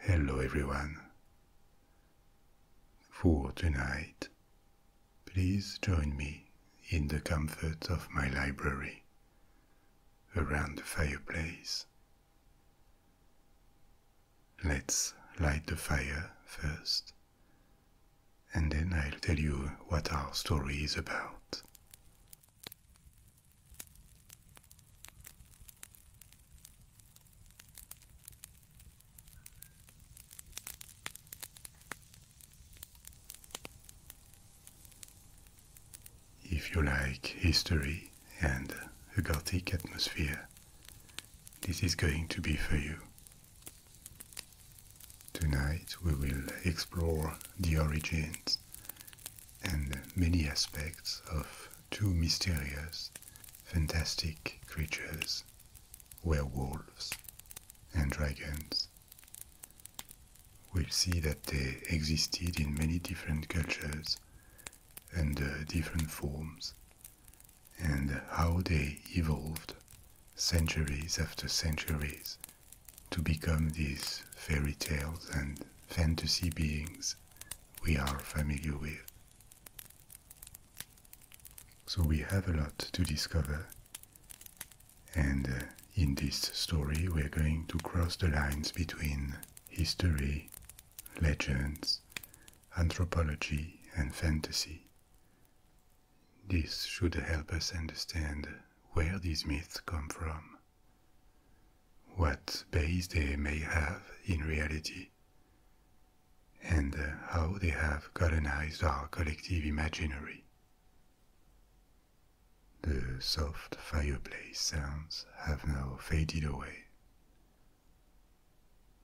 Hello, everyone. For tonight, please join me in the comfort of my library around the fireplace. Let's light the fire first, and then I'll tell you what our story is about. If you like history and a Gothic atmosphere, this is going to be for you. Tonight we will explore the origins and many aspects of two mysterious, fantastic creatures, werewolves and dragons. we see that they existed in many different cultures and uh, different forms and how they evolved centuries after centuries to become these fairy tales and fantasy beings we are familiar with. So we have a lot to discover, and uh, in this story we're going to cross the lines between history, legends, anthropology, and fantasy. This should help us understand where these myths come from what base they may have in reality, and uh, how they have colonized our collective imaginary. The soft fireplace sounds have now faded away.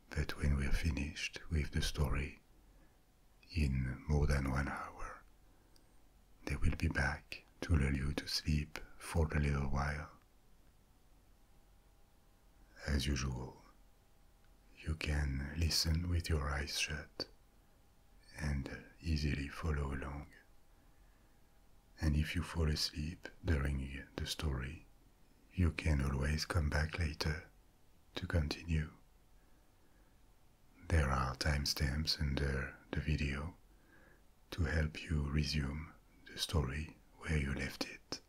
But when we're finished with the story, in more than one hour, they will be back to lull you to sleep for a little while. As usual, you can listen with your eyes shut and easily follow along. And if you fall asleep during the story, you can always come back later to continue. There are timestamps under the video to help you resume the story where you left it.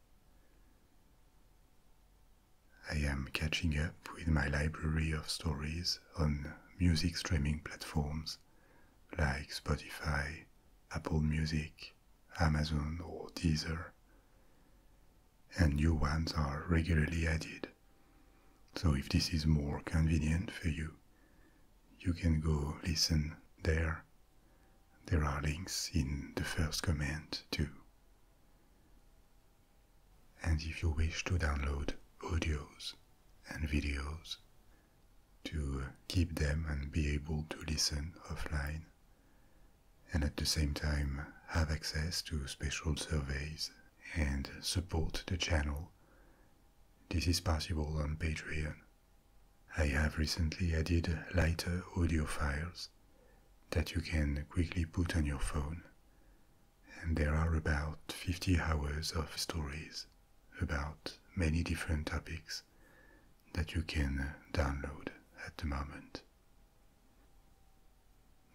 I am catching up with my library of stories on music streaming platforms like Spotify, Apple Music, Amazon, or Deezer, and new ones are regularly added. So, if this is more convenient for you, you can go listen there. There are links in the first comment too. And if you wish to download audios and videos to uh, keep them and be able to listen offline, and at the same time have access to special surveys and support the channel, this is possible on Patreon. I have recently added lighter audio files that you can quickly put on your phone, and there are about 50 hours of stories about many different topics that you can download at the moment.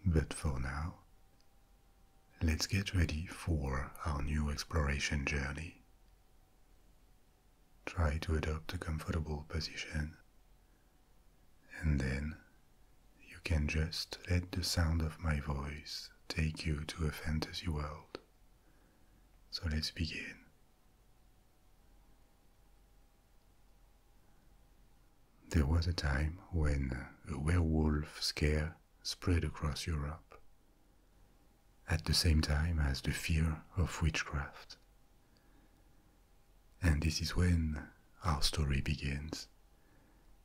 But for now, let's get ready for our new exploration journey Try to adopt a comfortable position, and then you can just let the sound of my voice take you to a fantasy world. So let's begin. There was a time when a werewolf scare spread across Europe at the same time as the fear of witchcraft. And this is when our story begins,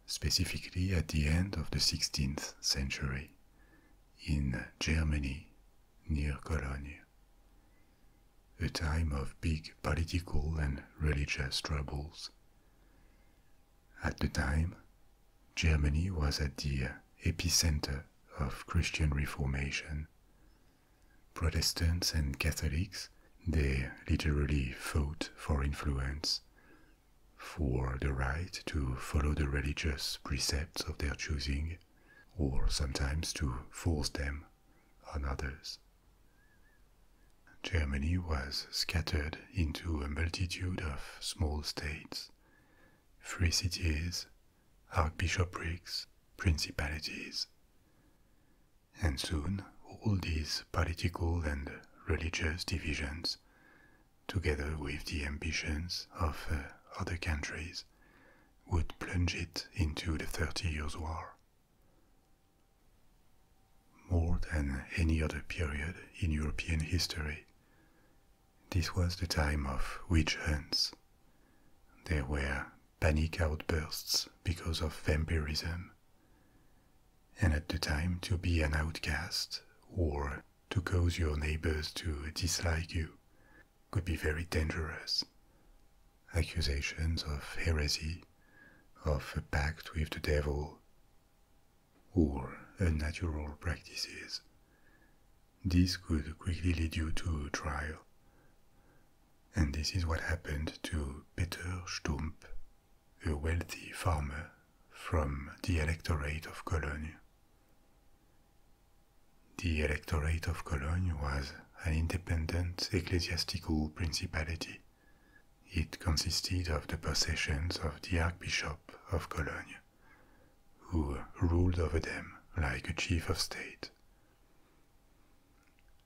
specifically at the end of the 16th century in Germany near Cologne, a time of big political and religious troubles. At the time, Germany was at the epicenter of Christian Reformation. Protestants and Catholics, they literally fought for influence, for the right to follow the religious precepts of their choosing, or sometimes to force them on others. Germany was scattered into a multitude of small states, free cities, archbishoprics, principalities. And soon all these political and religious divisions, together with the ambitions of uh, other countries, would plunge it into the Thirty Years' War. More than any other period in European history, this was the time of witch hunts. There were panic outbursts because of vampirism. And at the time, to be an outcast or to cause your neighbors to dislike you could be very dangerous. Accusations of heresy, of a pact with the devil, or unnatural practices this could quickly lead you to trial. And this is what happened to Peter Stump, a wealthy farmer from the electorate of Cologne. The electorate of Cologne was an independent ecclesiastical principality. It consisted of the possessions of the Archbishop of Cologne who ruled over them like a chief of state.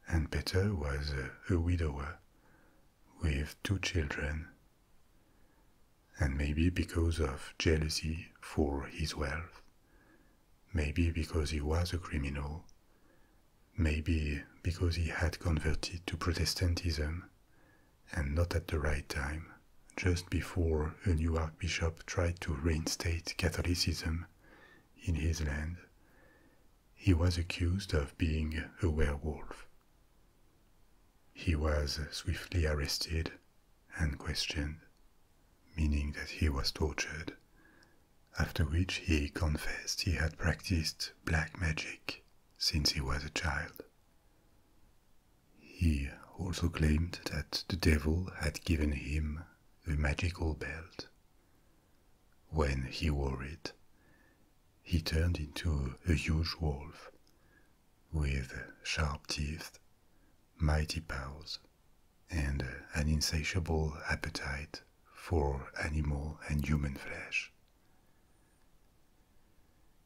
And Peter was a widower with two children, and maybe because of jealousy for his wealth, maybe because he was a criminal, maybe because he had converted to Protestantism, and not at the right time, just before a new archbishop tried to reinstate Catholicism in his land. He was accused of being a werewolf. He was swiftly arrested and questioned, meaning that he was tortured, after which he confessed he had practiced black magic since he was a child. He also claimed that the devil had given him the magical belt. When he wore it, he turned into a huge wolf with sharp teeth, mighty paws, and an insatiable appetite for animal and human flesh.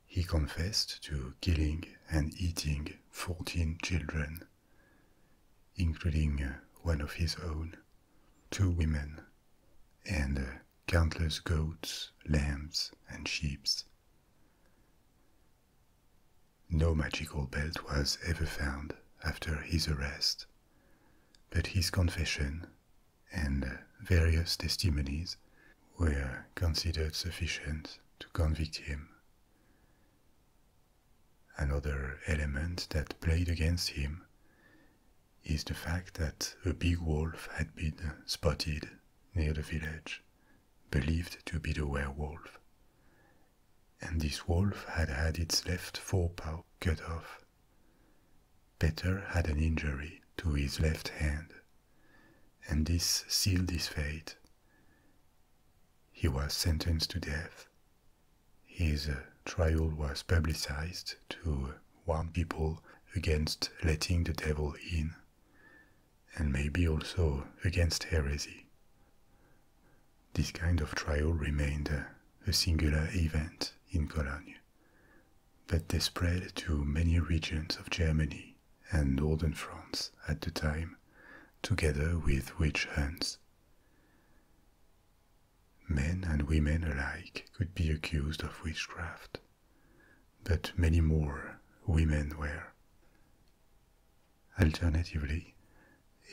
He confessed to killing and eating 14 children, including uh, one of his own, two women, and uh, countless goats, lambs, and sheep. No magical belt was ever found after his arrest, but his confession and uh, various testimonies were considered sufficient to convict him Another element that played against him is the fact that a big wolf had been spotted near the village, believed to be the werewolf. And this wolf had had its left forepaw cut off. Peter had an injury to his left hand, and this sealed his fate he was sentenced to death. His uh, trial was publicized to warn people against letting the devil in, and maybe also against heresy. This kind of trial remained uh, a singular event in Cologne, but they spread to many regions of Germany and northern France at the time, together with witch hunts. Men and women alike could be accused of witchcraft, but many more women were. Alternatively,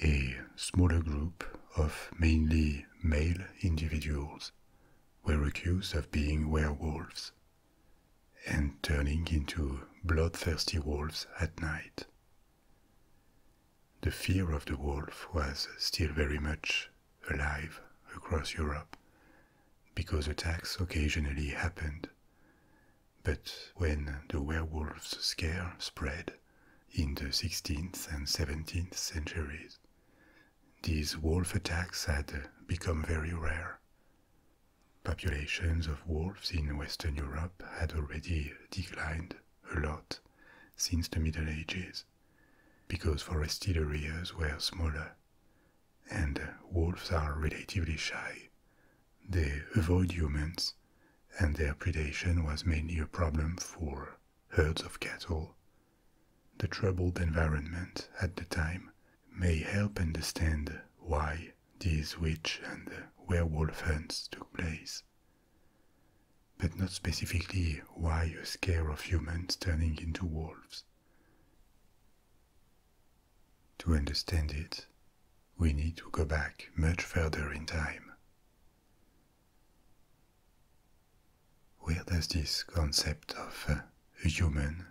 a smaller group of mainly male individuals were accused of being werewolves and turning into bloodthirsty wolves at night. The fear of the wolf was still very much alive across Europe because attacks occasionally happened. But when the werewolf scare spread in the 16th and 17th centuries, these wolf attacks had become very rare. Populations of wolves in Western Europe had already declined a lot since the Middle Ages because forested areas were smaller and wolves are relatively shy. They avoid humans and their predation was mainly a problem for herds of cattle. The troubled environment at the time may help understand why these witch and werewolf hunts took place. But not specifically why a scare of humans turning into wolves. To understand it, we need to go back much further in time. Where does this concept of uh, a human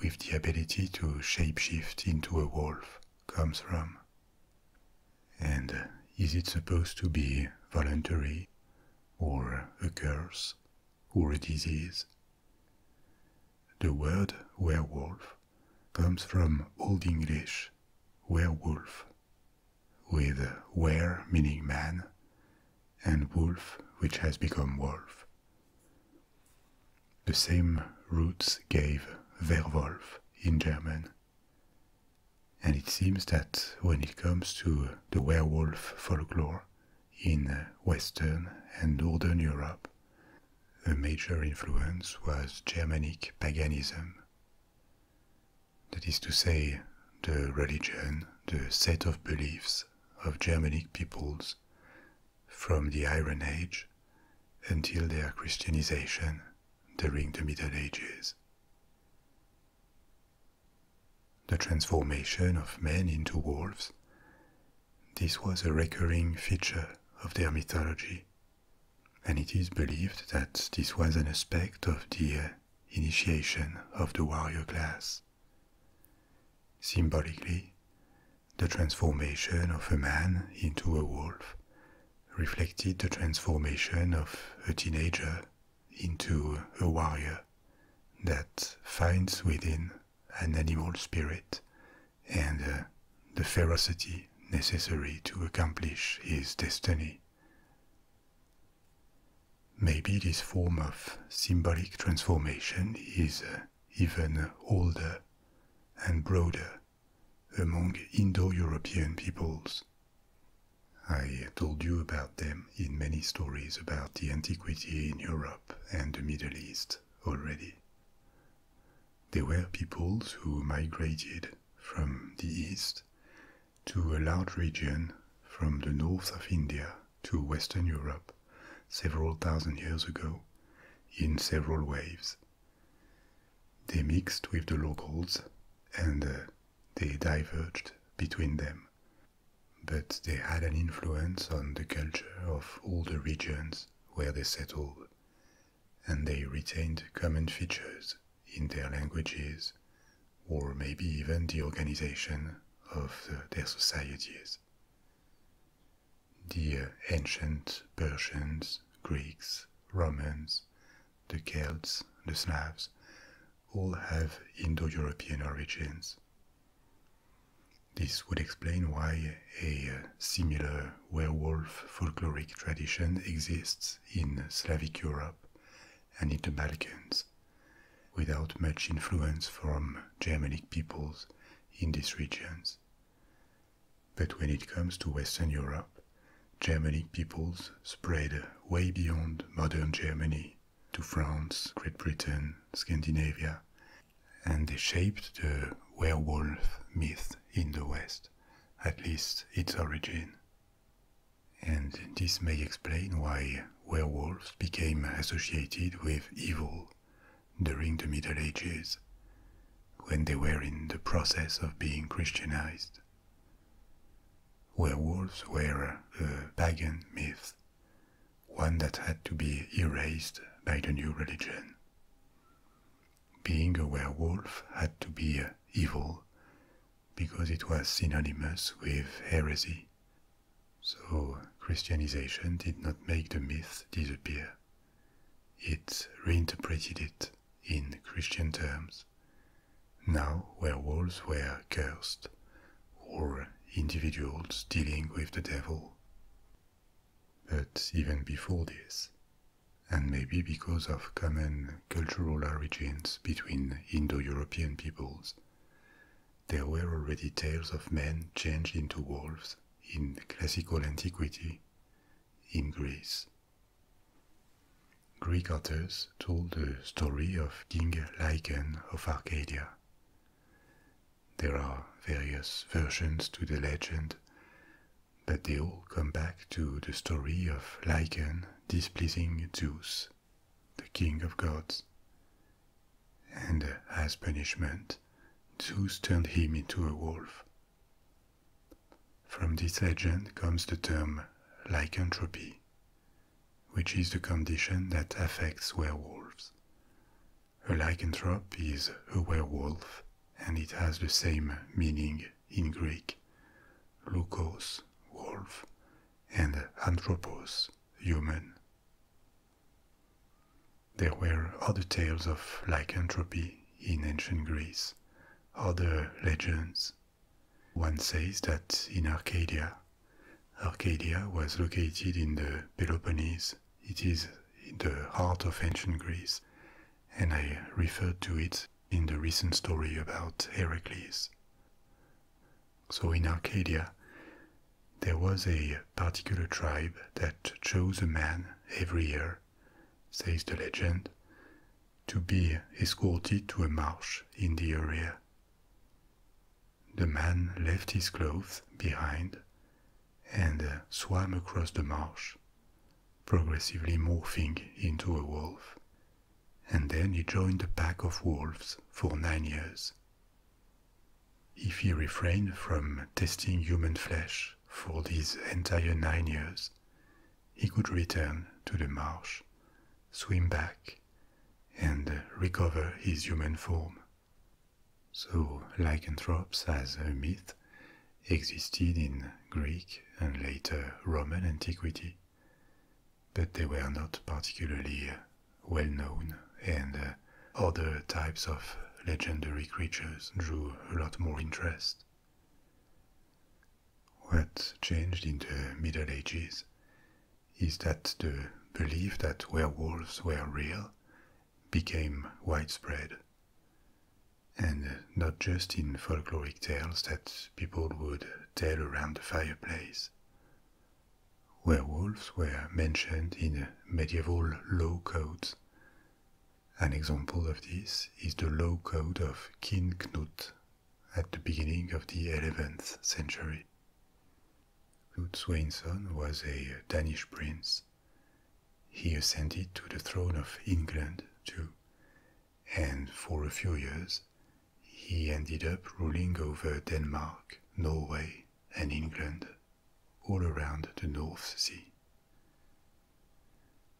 with the ability to shapeshift into a wolf comes from. And uh, is it supposed to be voluntary, or a curse, or a disease? The word werewolf comes from Old English werewolf, with uh, were meaning man, and wolf which has become wolf, the same roots gave Werwolf in German. And it seems that when it comes to the werewolf folklore in Western and Northern Europe, a major influence was Germanic paganism. That is to say, the religion, the set of beliefs of Germanic peoples from the Iron Age until their Christianization during the Middle Ages. The transformation of men into wolves, this was a recurring feature of their mythology, and it is believed that this was an aspect of the uh, initiation of the warrior class. Symbolically, the transformation of a man into a wolf reflected the transformation of a teenager into a warrior that finds within an animal spirit and uh, the ferocity necessary to accomplish his destiny. Maybe this form of symbolic transformation is uh, even older and broader among Indo-European peoples. I told you about them in many stories about the antiquity in Europe and the Middle East already. They were peoples who migrated from the east to a large region from the north of India to Western Europe several thousand years ago in several waves they mixed with the locals and uh, they diverged between them, but they had an influence on the culture of all the regions where they settled, and they retained common features in their languages or maybe even the organization of their societies. The ancient Persians, Greeks, Romans, the Celts, the Slavs, all have Indo European origins. This would explain why a uh, similar werewolf folkloric tradition exists in Slavic Europe and in the Balkans, without much influence from Germanic peoples in these regions, but when it comes to Western Europe, Germanic peoples spread way beyond modern Germany to France, Great Britain, Scandinavia, and they shaped the werewolf myth in the West, at least its origin. And this may explain why werewolves became associated with evil, during the Middle Ages, when they were in the process of being Christianized. Werewolves were a pagan myth, one that had to be erased by the new religion. Being a werewolf had to be uh, evil because it was synonymous with heresy. So Christianization did not make the myth disappear. It reinterpreted it in Christian terms. Now, where wolves were cursed, or individuals dealing with the devil. But even before this, and maybe because of common cultural origins between Indo European peoples, there were already tales of men changed into wolves in classical antiquity in Greece. Greek authors told the story of King Lycon of Arcadia. There are various versions to the legend, but they all come back to the story of Lycon displeasing Zeus, the king of gods. And as punishment, Zeus turned him into a wolf. From this legend comes the term lycanthropy, which is the condition that affects werewolves. A lycanthrope is a werewolf, and it has the same meaning in Greek leukos, wolf, and anthropos, human. There were other tales of lycanthropy in ancient Greece, other legends. One says that in Arcadia, Arcadia was located in the Peloponnese. It is the heart of ancient Greece, and I referred to it in the recent story about Heracles. So in Arcadia, there was a particular tribe that chose a man every year says the legend, to be escorted to a marsh in the area. The man left his clothes behind and uh, swam across the marsh, progressively morphing into a wolf, and then he joined a pack of wolves for nine years. If he refrained from tasting human flesh, for these entire nine years, he could return to the marsh, swim back, and recover his human form. So, lycanthropes as a myth existed in Greek and later Roman antiquity, but they were not particularly uh, well known, and uh, other types of legendary creatures drew a lot more interest. What changed in the Middle Ages is that the belief that werewolves were real became widespread. And not just in folkloric tales that people would tell around the fireplace. Werewolves were mentioned in medieval law codes, an example of this is the low code of King Knut at the beginning of the 11th century. Knut's Swainsson was a Danish prince. He ascended to the throne of England too, and for a few years he ended up ruling over Denmark, Norway, and England, all around the North Sea.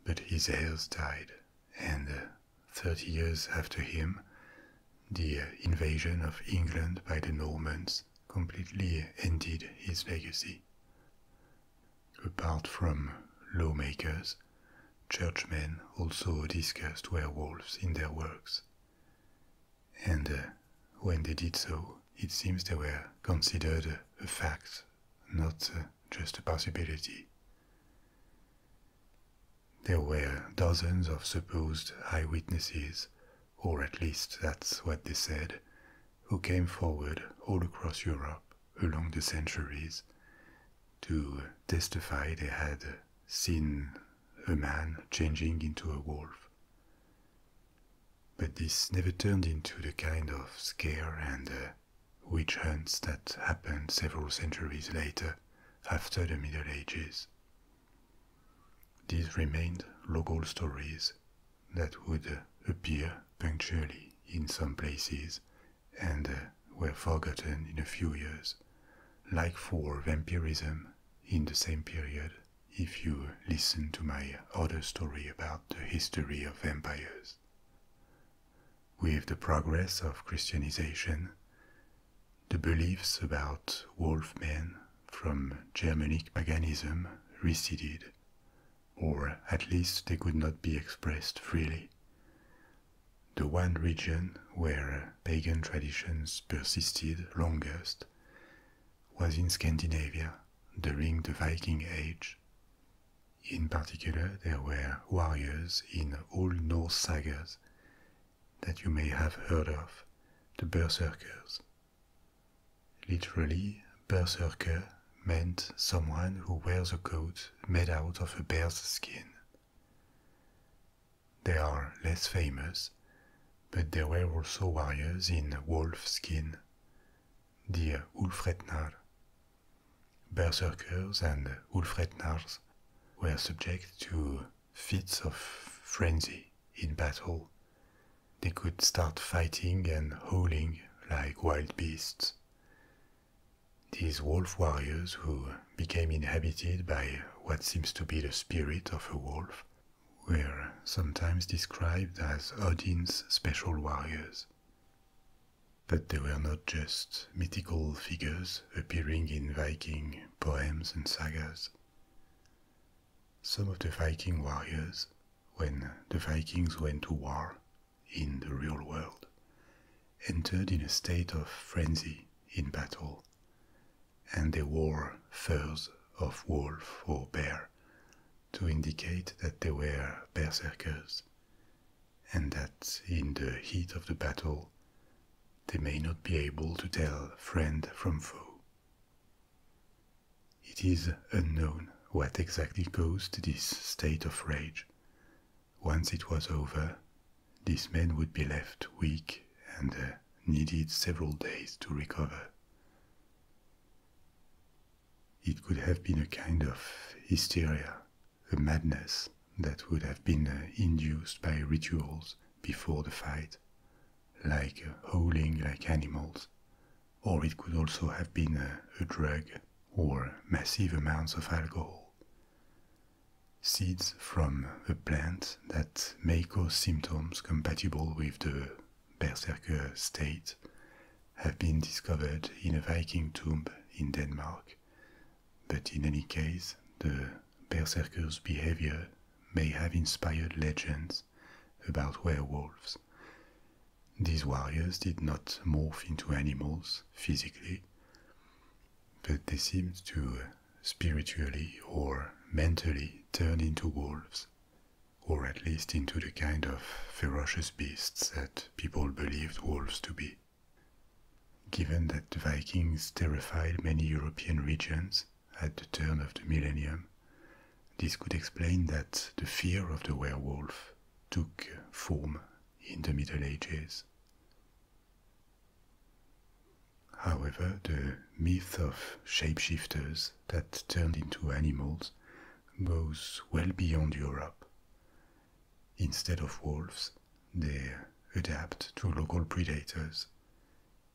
But his heirs died, and uh, 30 years after him, the uh, invasion of England by the Normans completely ended his legacy. Apart from lawmakers, churchmen also discussed werewolves in their works. And uh, when they did so, it seems they were considered a fact, not uh, just a possibility. There were dozens of supposed eyewitnesses, or at least that's what they said, who came forward all across Europe along the centuries to testify they had seen a man changing into a wolf but this never turned into the kind of scare and uh, witch hunts that happened several centuries later after the Middle Ages. These remained local stories that would uh, appear punctually in some places and uh, were forgotten in a few years, like for vampirism in the same period if you listen to my other story about the history of vampires. With the progress of Christianization, the beliefs about wolfmen from Germanic paganism receded, or at least they could not be expressed freely. The one region where pagan traditions persisted longest was in Scandinavia during the Viking Age. In particular, there were warriors in all Norse sagas that you may have heard of, the berserkers. Literally, berserker meant someone who wears a coat made out of a bear's skin. They are less famous, but there were also warriors in wolf skin, the Ulfretnar, Berserkers and Ulfretnars were subject to fits of frenzy in battle. They could start fighting and howling like wild beasts. These wolf warriors, who became inhabited by what seems to be the spirit of a wolf, were sometimes described as Odin's special warriors. But they were not just mythical figures appearing in Viking poems and sagas. Some of the Viking warriors, when the Vikings went to war in the real world, entered in a state of frenzy in battle, and they wore furs of wolf or bear to indicate that they were berserkers, and that in the heat of the battle they may not be able to tell friend from foe. It is unknown what exactly caused this state of rage. Once it was over, these men would be left weak and uh, needed several days to recover. It could have been a kind of hysteria, a madness that would have been uh, induced by rituals before the fight, like uh, howling like animals, or it could also have been uh, a, drug or massive amounts of alcohol. Seeds from a plant that may cause symptoms compatible with the berserker state have been discovered in a Viking tomb in Denmark, but in any case, the berserkers' behavior may have inspired legends about werewolves. These warriors did not morph into animals physically, but they seemed to spiritually or mentally turn into wolves, or at least into the kind of ferocious beasts that people believed wolves to be. Given that the Vikings terrified many European regions at the turn of the millennium, this could explain that the fear of the werewolf took form in the Middle Ages. However, the myth of shapeshifters that turned into animals goes well beyond Europe Instead of wolves, they adapt to local predators.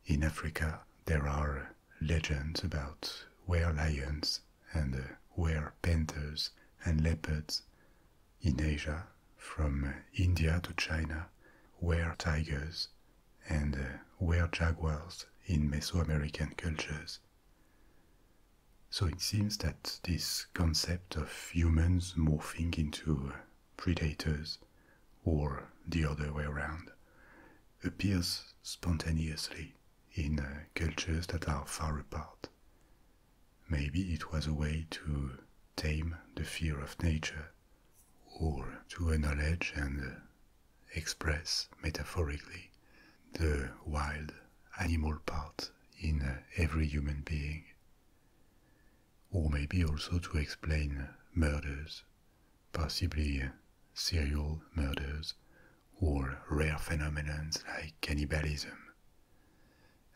In Africa, there are legends about were lions and were panthers and leopards. In Asia, from India to China, were tigers and were jaguars in Mesoamerican cultures. So it seems that this concept of humans morphing into predators, or the other way around, appears spontaneously in uh, cultures that are far apart. Maybe it was a way to tame the fear of nature, or to acknowledge and uh, express metaphorically the wild animal part in uh, every human being. Or maybe also to explain murders, possibly uh, serial murders or rare phenomena like cannibalism.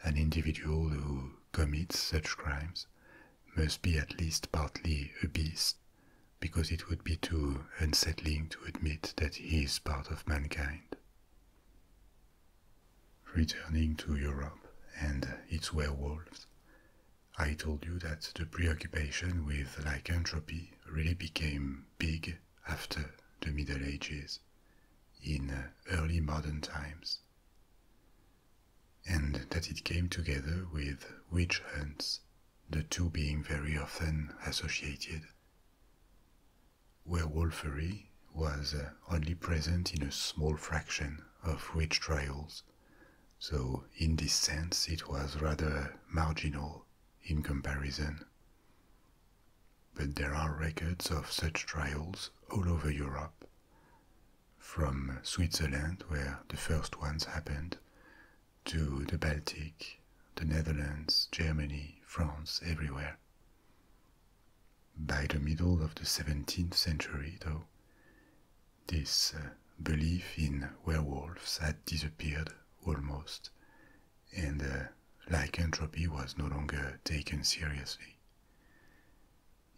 An individual who commits such crimes must be at least partly a beast, because it would be too unsettling to admit that he is part of mankind. Returning to Europe and its werewolves, I told you that the preoccupation with lycanthropy really became big after the Middle Ages, in early modern times, and that it came together with witch hunts, the two being very often associated. Where werewolfery was uh, only present in a small fraction of witch trials, so in this sense it was rather marginal in comparison. But there are records of such trials all over Europe, from Switzerland, where the first ones happened, to the Baltic, the Netherlands, Germany, France, everywhere. By the middle of the 17th century, though, this uh, belief in werewolves had disappeared almost, and uh, lycanthropy was no longer taken seriously.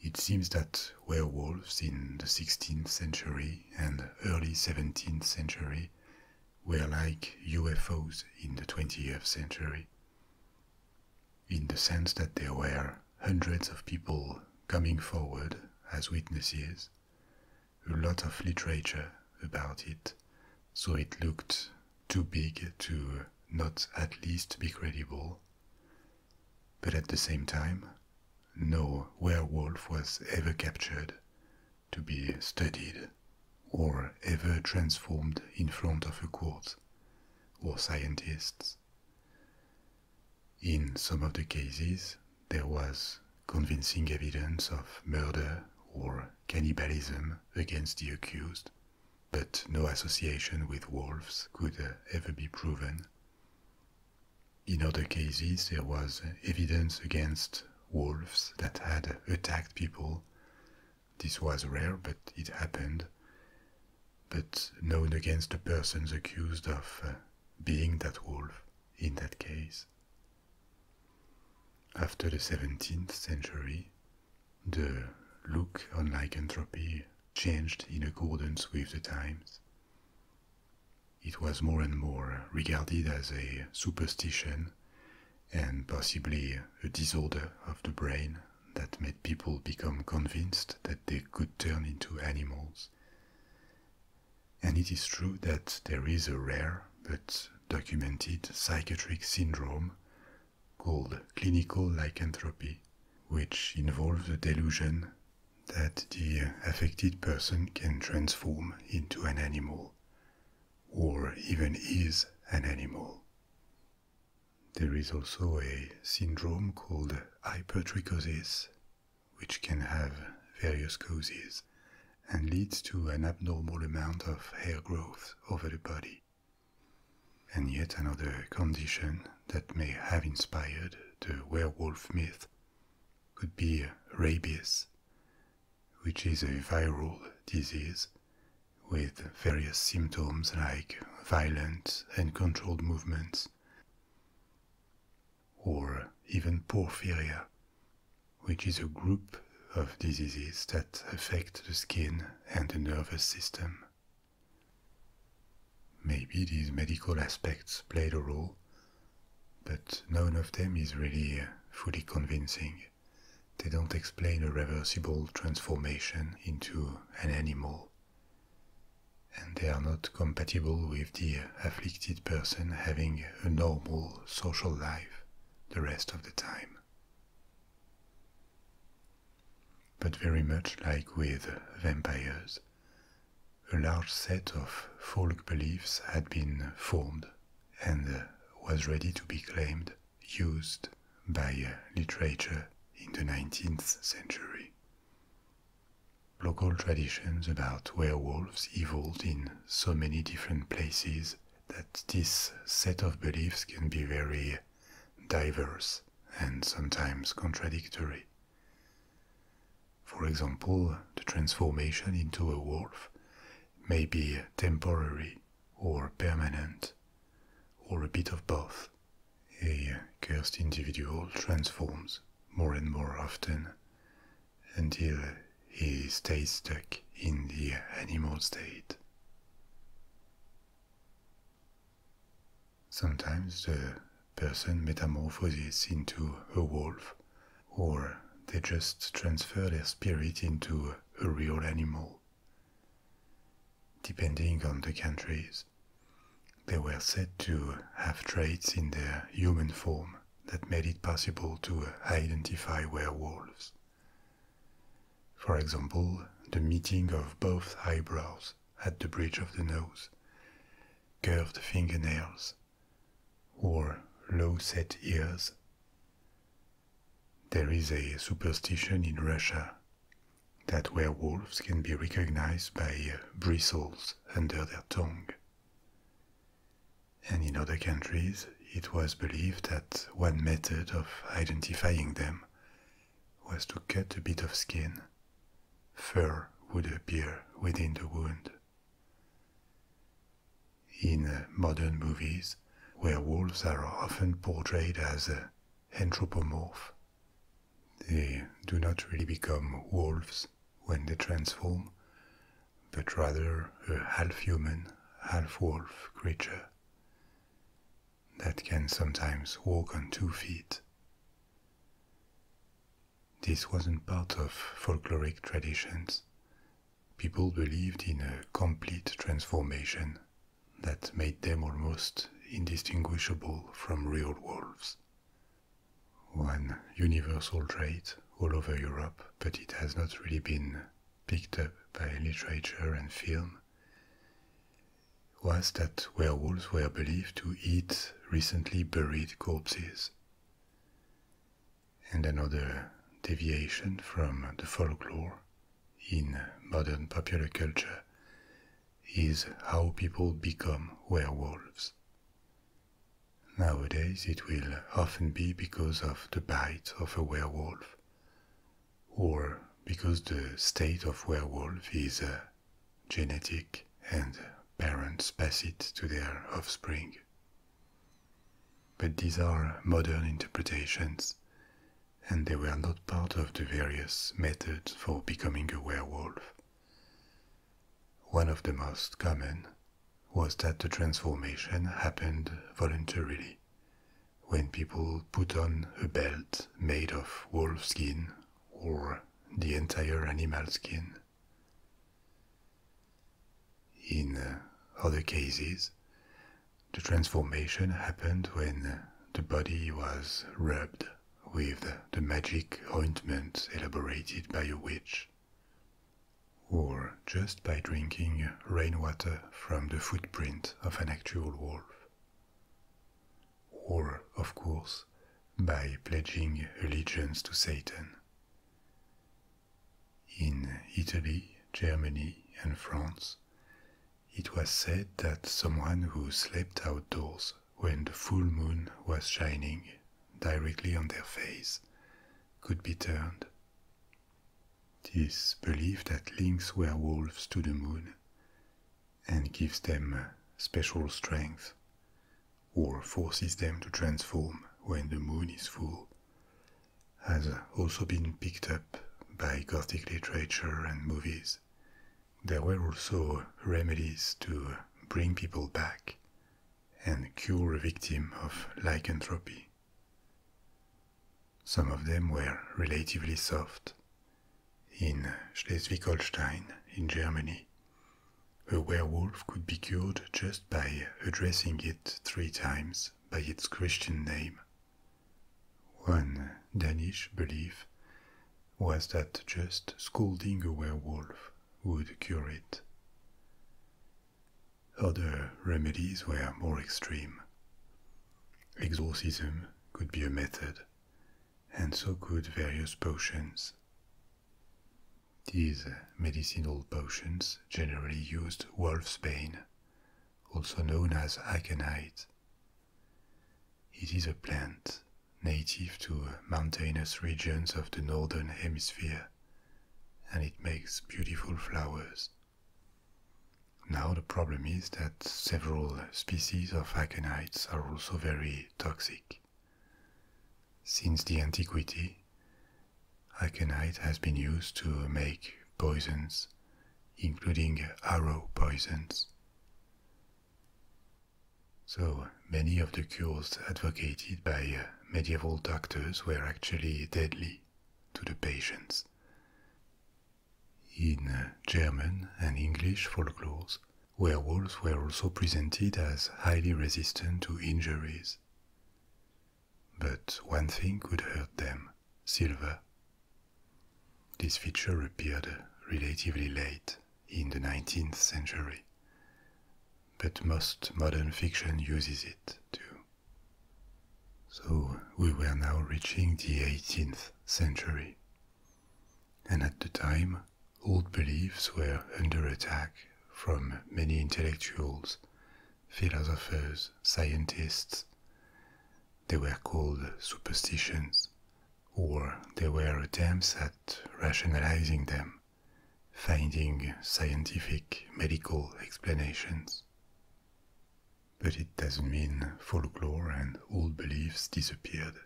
It seems that werewolves in the 16th century and early 17th century were like UFOs in the 20th century, in the sense that there were hundreds of people coming forward as witnesses, a lot of literature about it, so it looked too big to not at least be credible. But at the same time, no werewolf was ever captured to be studied or ever transformed in front of a court or scientists. In some of the cases, there was convincing evidence of murder or cannibalism against the accused, but no association with wolves could uh, ever be proven. In other cases, there was evidence against wolves that had attacked people this was rare, but it happened. But known against the persons accused of uh, being that wolf in that case. After the 17th century, the look on lycanthropy changed in accordance with the times. It was more and more regarded as a superstition and possibly a disorder of the brain that made people become convinced that they could turn into animals. And it is true that there is a rare but documented psychiatric syndrome called clinical lycanthropy, which involves a delusion that the affected person can transform into an animal, or even is an animal. There is also a syndrome called hypertrichosis, which can have various causes and leads to an abnormal amount of hair growth over the body. And yet another condition that may have inspired the werewolf myth could be rabies, which is a viral disease with various symptoms like violent and controlled movements, or even porphyria, which is a group of diseases that affect the skin and the nervous system. Maybe these medical aspects played a role, but none of them is really fully convincing. They don't explain a reversible transformation into an animal. And they are not compatible with the afflicted person having a normal social life the rest of the time. But very much like with vampires, a large set of folk beliefs had been formed and was ready to be claimed used by uh, literature in the 19th century. Local traditions about werewolves evolved in so many different places that this set of beliefs can be very diverse and sometimes contradictory. For example, the transformation into a wolf may be temporary or permanent or a bit of both. A cursed individual transforms more and more often until he stays stuck in the animal state. Sometimes the person metamorphoses into a wolf, or they just transfer their spirit into a real animal. Depending on the countries, they were said to have traits in their human form that made it possible to identify werewolves. For example, the meeting of both eyebrows at the bridge of the nose, curved fingernails, or low set ears there is a superstition in Russia that werewolves can be recognized by uh, bristles under their tongue. And in other countries, it was believed that one method of identifying them was to cut a bit of skin. Fur would appear within the wound. In uh, modern movies, where wolves are often portrayed as anthropomorphic, They do not really become wolves when they transform, but rather a half human, half wolf creature that can sometimes walk on two feet. This wasn't part of folkloric traditions. People believed in a complete transformation that made them almost indistinguishable from real wolves. One universal trait all over Europe, but it has not really been picked up by literature and film, was that werewolves were believed to eat recently buried corpses. And another deviation from the folklore in modern popular culture is how people become werewolves. Nowadays, it will often be because of the bite of a werewolf, or because the state of werewolf is uh, genetic and parents pass it to their offspring. But these are modern interpretations, and they were not part of the various methods for becoming a werewolf. One of the most common was that the transformation happened voluntarily when people put on a belt made of wolf skin or the entire animal skin. In uh, other cases, the transformation happened when the body was rubbed with the magic ointment elaborated by a witch, or just by drinking rainwater from the footprint of an actual wolf, or, of course, by pledging allegiance to Satan. In Italy, Germany, and France, it was said that someone who slept outdoors when the full moon was shining directly on their face could be turned. This belief that links werewolves to the moon and gives them special strength or forces them to transform when the moon is full has also been picked up by Gothic literature and movies. There were also remedies to bring people back and cure a victim of lycanthropy. Some of them were relatively soft. In Schleswig Holstein, in Germany, a werewolf could be cured just by addressing it three times by its Christian name one Danish belief was that just scolding a werewolf would cure it. Other remedies were more extreme. Exorcism could be a method, and so could various potions. These medicinal potions generally used wolfsbane, also known as aconite, it is a plant native to mountainous regions of the northern hemisphere, and it makes beautiful flowers. Now, the problem is that several species of aconites are also very toxic. Since the antiquity, aconite has been used to make poisons including arrow poisons. So many of the cures advocated by uh, medieval doctors were actually deadly to the patients. In uh, German and English folklores, werewolves were also presented as highly resistant to injuries. But one thing could hurt them silver, this feature appeared relatively late in the 19th century, but most modern fiction uses it too. So we were now reaching the 18th century, and at the time, old beliefs were under attack from many intellectuals, philosophers, scientists, they were called superstitions, or they were attempts at rationalizing them, finding scientific medical explanations. But it doesn't mean folklore and old beliefs disappeared,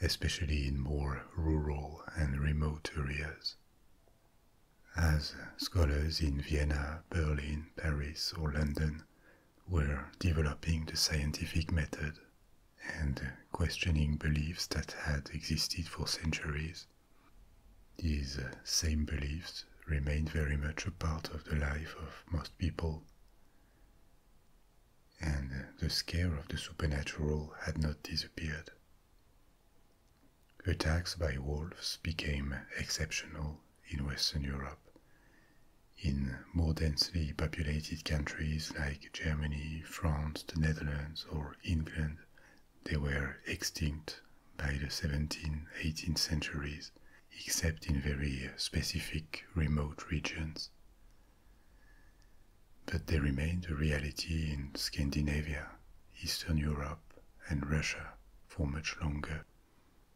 especially in more rural and remote areas. As scholars in Vienna, Berlin, Paris, or London were developing the scientific method and questioning beliefs that had existed for centuries. These uh, same beliefs remained very much a part of the life of most people. And uh, the scare of the supernatural had not disappeared. Attacks by wolves became exceptional in Western Europe. In more densely populated countries like Germany, France, the Netherlands, or England, they were extinct by the 17th, 18th centuries, except in very specific remote regions. But they remained a reality in Scandinavia, Eastern Europe, and Russia for much longer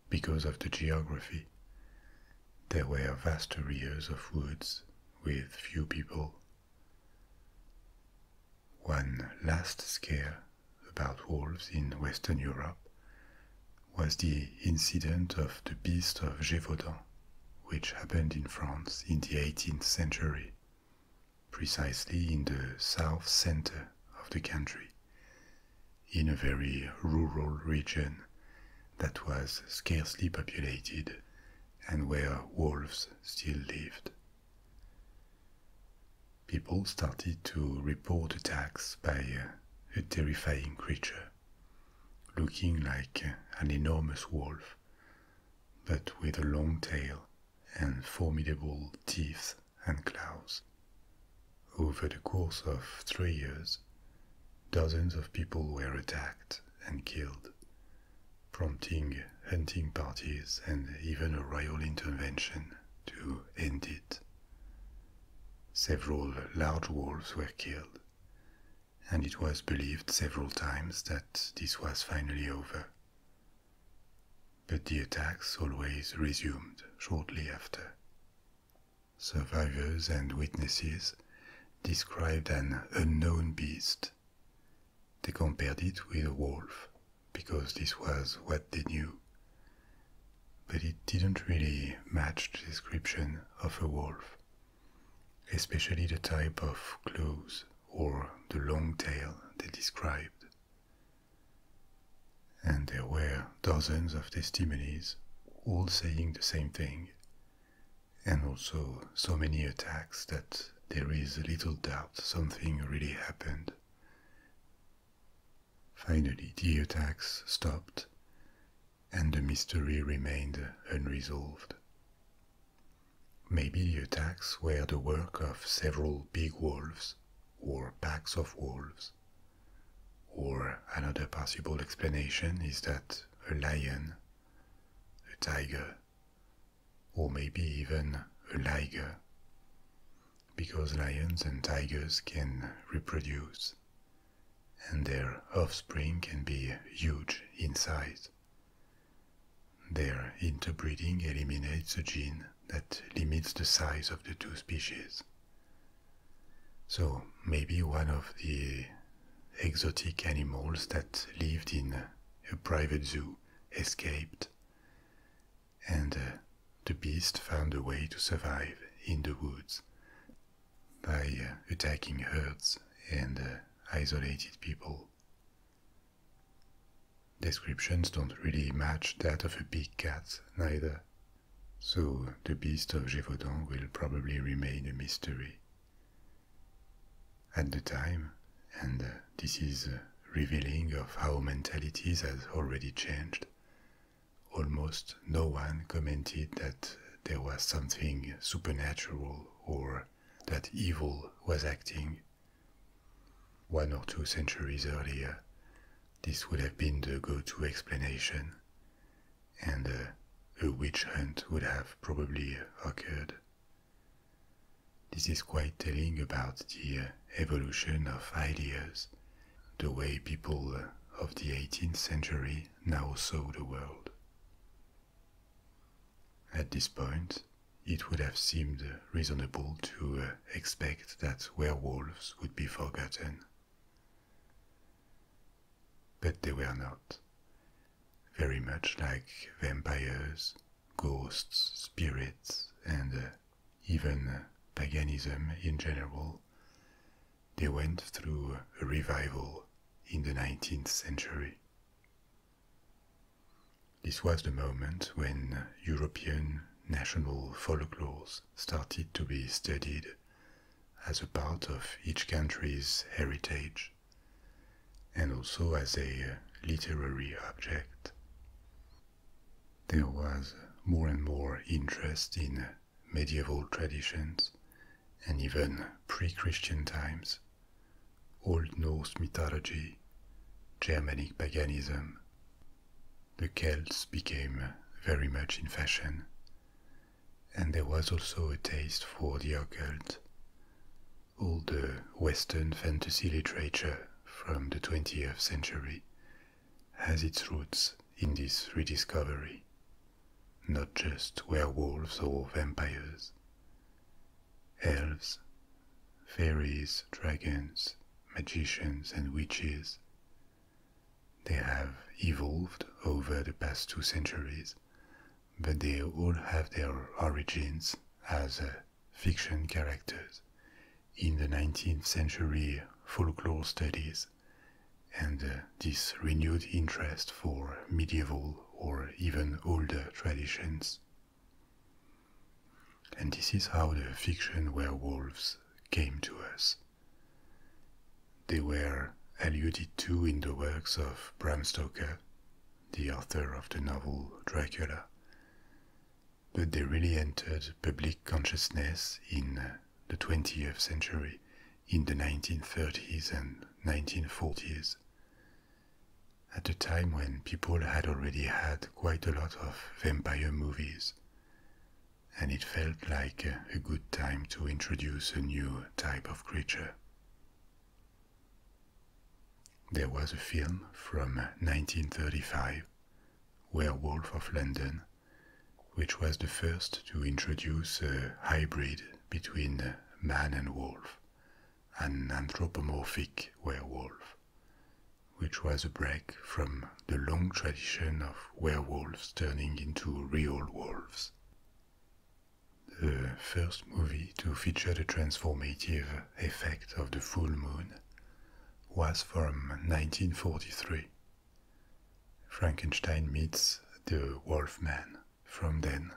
because of the geography. There were vast areas of woods with few people. One last scare about wolves in Western Europe was the incident of the Beast of Gévaudan, which happened in France in the 18th century, precisely in the south center of the country, in a very rural region that was scarcely populated and where wolves still lived. People started to report attacks by a terrifying creature, looking like an enormous wolf, but with a long tail and formidable teeth and claws. Over the course of three years, dozens of people were attacked and killed, prompting hunting parties and even a royal intervention to end it. Several large wolves were killed, and it was believed several times that this was finally over. But the attacks always resumed shortly after. Survivors and witnesses described an unknown beast. They compared it with a wolf because this was what they knew. But it didn't really match the description of a wolf, especially the type of claws or the long tail they described. And there were dozens of testimonies, all saying the same thing, and also so many attacks that there is little doubt something really happened. Finally, the attacks stopped, and the mystery remained unresolved. Maybe the attacks were the work of several big wolves or packs of wolves or another possible explanation is that a lion, a tiger, or maybe even a liger, because lions and tigers can reproduce, and their offspring can be huge in size. Their interbreeding eliminates a gene that limits the size of the two species. So maybe one of the exotic animals that lived in a private zoo escaped, and uh, the beast found a way to survive in the woods by uh, attacking herds and uh, isolated people. Descriptions don't really match that of a big cat, neither, so the beast of Gévaudan will probably remain a mystery. At the time, and this is revealing of how mentalities has already changed, almost no one commented that there was something supernatural or that evil was acting. One or two centuries earlier, this would have been the go-to explanation and uh, a witch hunt would have probably occurred. This is quite telling about the uh, evolution of ideas, the way people uh, of the 18th century now saw the world. At this point, it would have seemed reasonable to expect that werewolves would be forgotten. But they were not. Very much like vampires, ghosts, spirits, and uh, even uh, paganism in general, they went through a revival in the 19th century. This was the moment when European national folklore started to be studied as a part of each country's heritage and also as a uh, literary object. There was more and more interest in medieval traditions and even pre Christian times, Old Norse mythology, Germanic paganism. The Celts became very much in fashion, and there was also a taste for the occult. All the Western fantasy literature from the 20th century has its roots in this rediscovery, not just werewolves or vampires. Elves, fairies, dragons, magicians, and witches they have evolved over the past two centuries, but they all have their origins as uh, fiction characters in the 19th century folklore studies and uh, this renewed interest for medieval or even older traditions. And this is how the fiction werewolves came to us. They were alluded to in the works of Bram Stoker, the author of the novel Dracula, but they really entered public consciousness in the 20th century, in the 1930s and 1940s, at a time when people had already had quite a lot of vampire movies and it felt like a good time to introduce a new type of creature. There was a film from 1935, Werewolf of London, which was the first to introduce a hybrid between man and wolf, an anthropomorphic werewolf, which was a break from the long tradition of werewolves turning into real wolves. The first movie to feature the transformative effect of the full moon was from 1943. Frankenstein meets the Wolf Man. From then,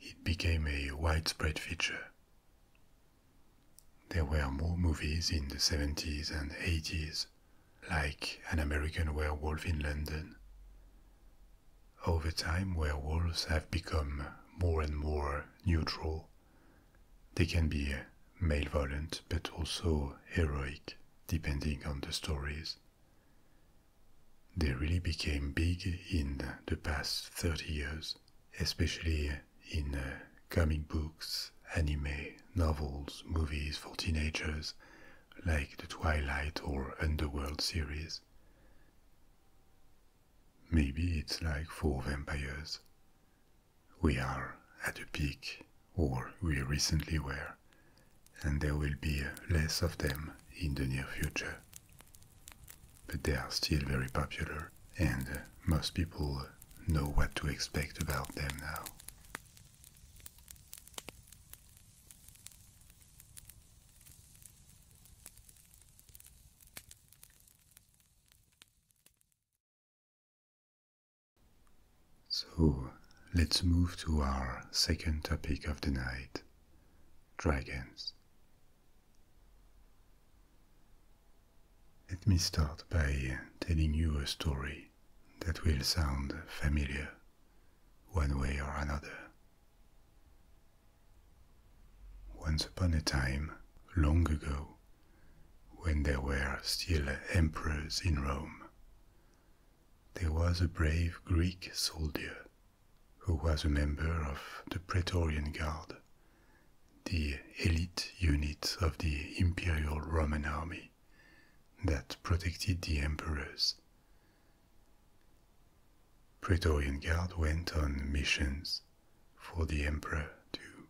it became a widespread feature. There were more movies in the 70s and 80s like an American werewolf in London. Over time, werewolves have become more and more neutral. They can be malevolent but also heroic, depending on the stories. They really became big in the past 30 years, especially in uh, comic books, anime, novels, movies for teenagers, like the Twilight or Underworld series. Maybe it's like for vampires. We are at a peak, or we recently were, and there will be less of them in the near future. But they are still very popular, and most people know what to expect about them now. So let's move to our second topic of the night dragons. Let me start by telling you a story that will sound familiar one way or another. Once upon a time, long ago, when there were still emperors in Rome, there was a brave Greek soldier who was a member of the Praetorian Guard, the elite unit of the Imperial Roman army that protected the emperors. Praetorian Guard went on missions for the emperor too,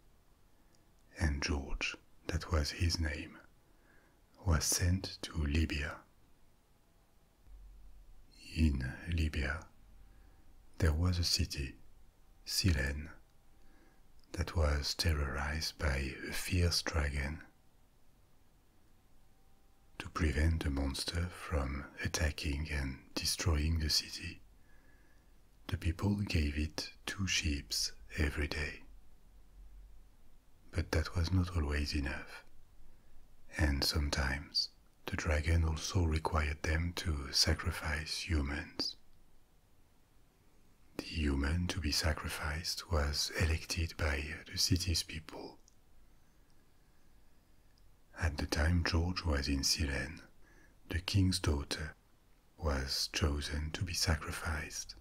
and George, that was his name, was sent to Libya. In Libya, there was a city, Silene, that was terrorized by a fierce dragon. To prevent the monster from attacking and destroying the city, the people gave it two sheep every day. But that was not always enough, and sometimes the dragon also required them to sacrifice humans. The human to be sacrificed was elected by the city's people. At the time George was in Silene, the king's daughter was chosen to be sacrificed.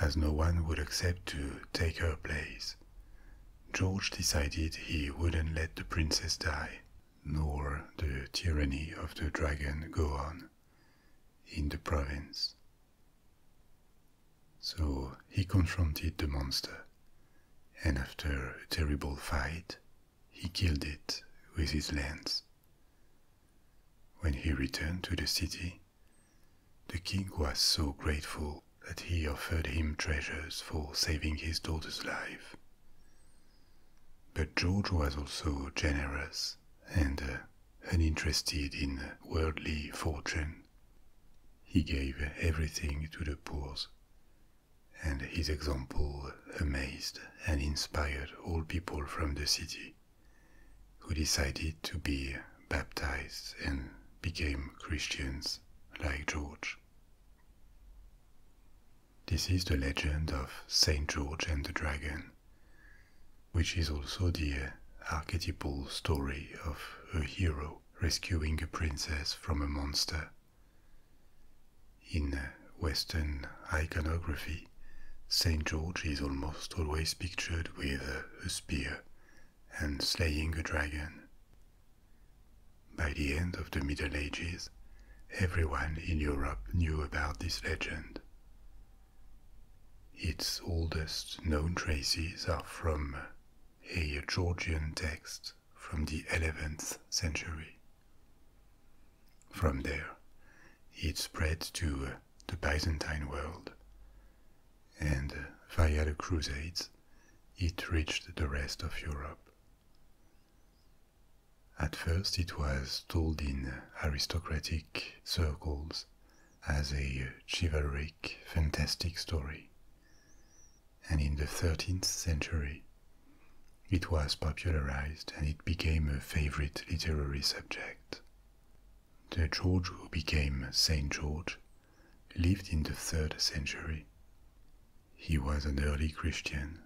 As no one would accept to take her place, George decided he wouldn't let the princess die, nor the tyranny of the dragon go on in the province. So he confronted the monster, and after a terrible fight, he killed it with his lance. When he returned to the city, the king was so grateful that he offered him treasures for saving his daughter's life. But George was also generous and uh, uninterested in worldly fortune. He gave everything to the poor, and his example amazed and inspired all people from the city, who decided to be baptized and became Christians like George. This is the legend of Saint George and the Dragon which is also the uh, archetypal story of a hero rescuing a princess from a monster. In uh, Western iconography, St. George is almost always pictured with a spear and slaying a dragon. By the end of the Middle Ages, everyone in Europe knew about this legend. Its oldest known traces are from a Georgian text from the 11th century. From there, it spread to the Byzantine world, and via the Crusades, it reached the rest of Europe. At first, it was told in aristocratic circles as a chivalric, fantastic story. And in the 13th century, it was popularized and it became a favorite literary subject. The George who became Saint George lived in the 3rd century. He was an early Christian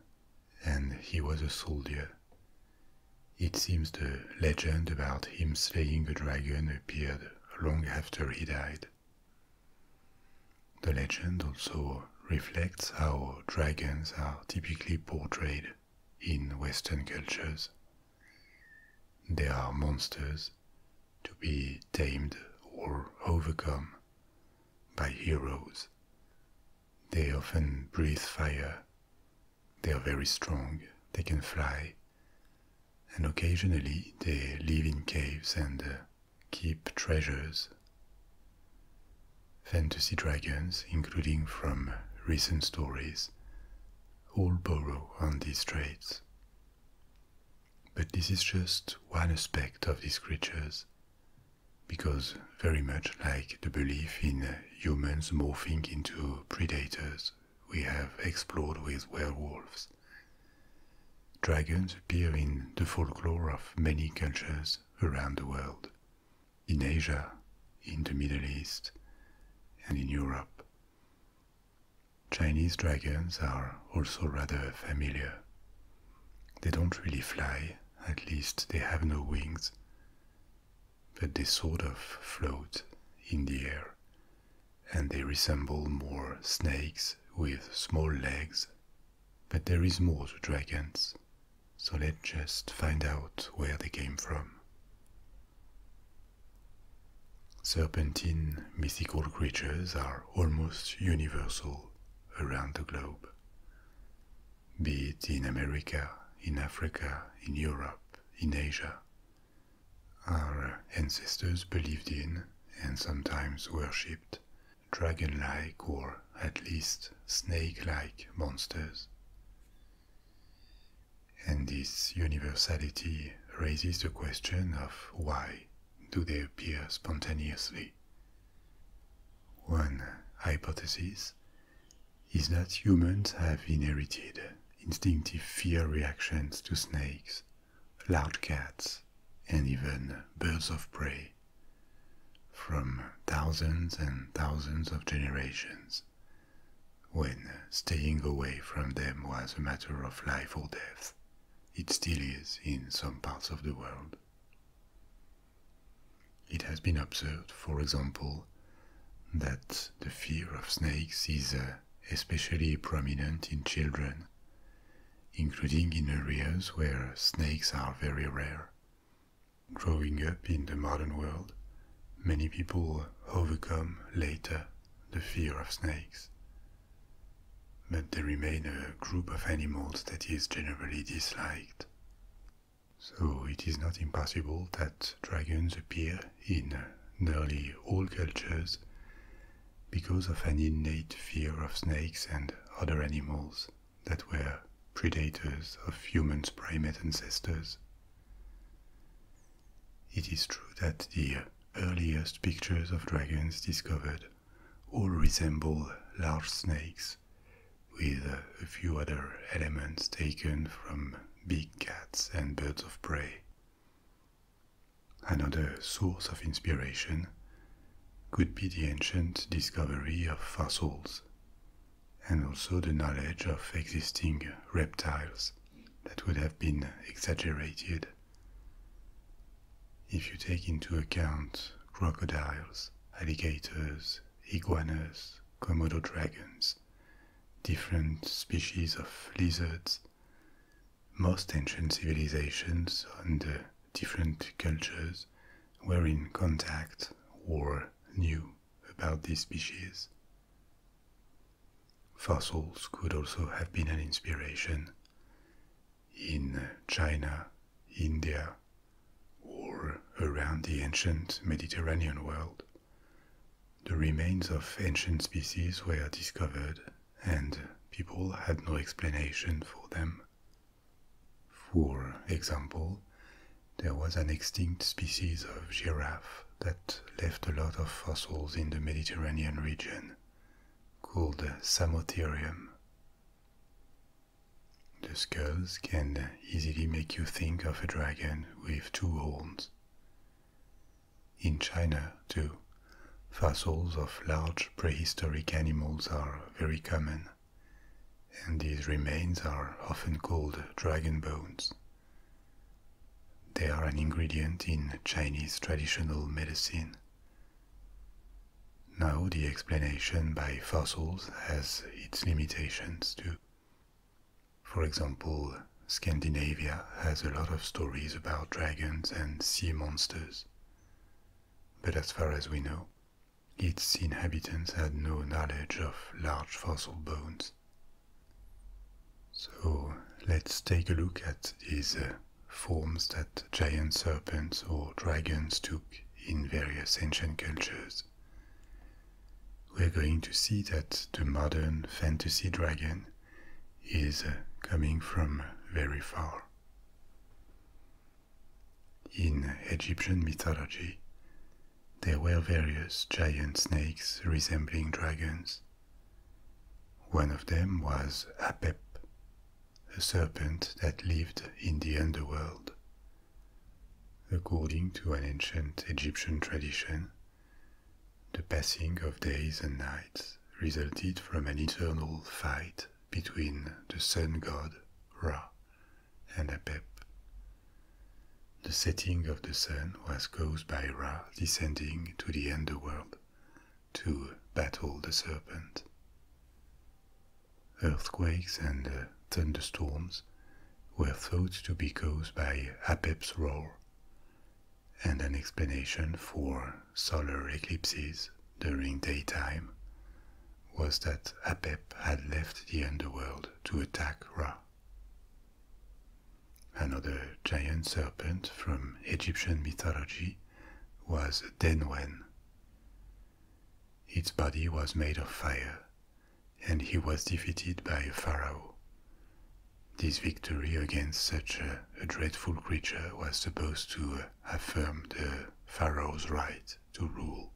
and he was a soldier. It seems the legend about him slaying a dragon appeared long after he died. The legend also reflects how dragons are typically portrayed in Western cultures. They are monsters to be tamed or overcome by heroes. They often breathe fire they are very strong, they can fly, and occasionally they live in caves and uh, keep treasures. Fantasy dragons, including from recent stories, all borrow on these traits. But this is just one aspect of these creatures, because very much like the belief in uh, humans morphing into predators we have explored with werewolves. Dragons appear in the folklore of many cultures around the world, in Asia, in the Middle East, and in Europe. Chinese dragons are also rather familiar. They don't really fly, at least they have no wings, but they sort of float in the air and they resemble more snakes with small legs. But there is more to dragons, so let's just find out where they came from. Serpentine mythical creatures are almost universal around the globe, be it in America, in Africa, in Europe, in Asia. Our ancestors believed in and sometimes worshipped dragon like or at least snake like monsters. And this universality raises the question of why do they appear spontaneously? One hypothesis is that humans have inherited instinctive fear reactions to snakes, loud cats, and even birds of prey from thousands and thousands of generations when staying away from them was a matter of life or death. It still is in some parts of the world. It has been observed, for example, that the fear of snakes is a especially prominent in children, including in areas where snakes are very rare. Growing up in the modern world, many people overcome later the fear of snakes. But they remain a group of animals that is generally disliked. So it is not impossible that dragons appear in nearly all cultures because of an innate fear of snakes and other animals that were predators of humans' primate ancestors. It is true that the earliest pictures of dragons discovered all resemble large snakes, with a few other elements taken from big cats and birds of prey. Another source of inspiration could be the ancient discovery of fossils and also the knowledge of existing reptiles that would have been exaggerated. If you take into account crocodiles, alligators, iguanas, Komodo dragons, different species of lizards, most ancient civilizations and different cultures were in contact or knew about this species. Fossils could also have been an inspiration. In China, India, or around the ancient Mediterranean world, the remains of ancient species were discovered, and people had no explanation for them. For example, there was an extinct species of giraffe that left a lot of fossils in the Mediterranean region, called Samotherium. The skulls can easily make you think of a dragon with two horns. In China, too, fossils of large prehistoric animals are very common, and these remains are often called dragon bones. They are an ingredient in Chinese traditional medicine. Now, the explanation by fossils has its limitations too. For example, Scandinavia has a lot of stories about dragons and sea monsters. But as far as we know, its inhabitants had no knowledge of large fossil bones. So let's take a look at these uh, forms that giant serpents or dragons took in various ancient cultures. We're going to see that the modern fantasy dragon is uh, coming from very far. In Egyptian mythology, there were various giant snakes resembling dragons. One of them was Apep, a serpent that lived in the underworld. According to an ancient Egyptian tradition, the passing of days and nights resulted from an eternal fight between the sun god Ra and Apep. The setting of the sun was caused by Ra descending to the underworld to battle the serpent. Earthquakes and thunderstorms were thought to be caused by Apep's roar, and an explanation for solar eclipses during daytime was that Apep had left the underworld to attack Ra. Another giant serpent from Egyptian mythology was Denwen. Its body was made of fire, and he was defeated by a pharaoh, this victory against such a, dreadful creature was supposed to uh, affirm the pharaoh's right to rule.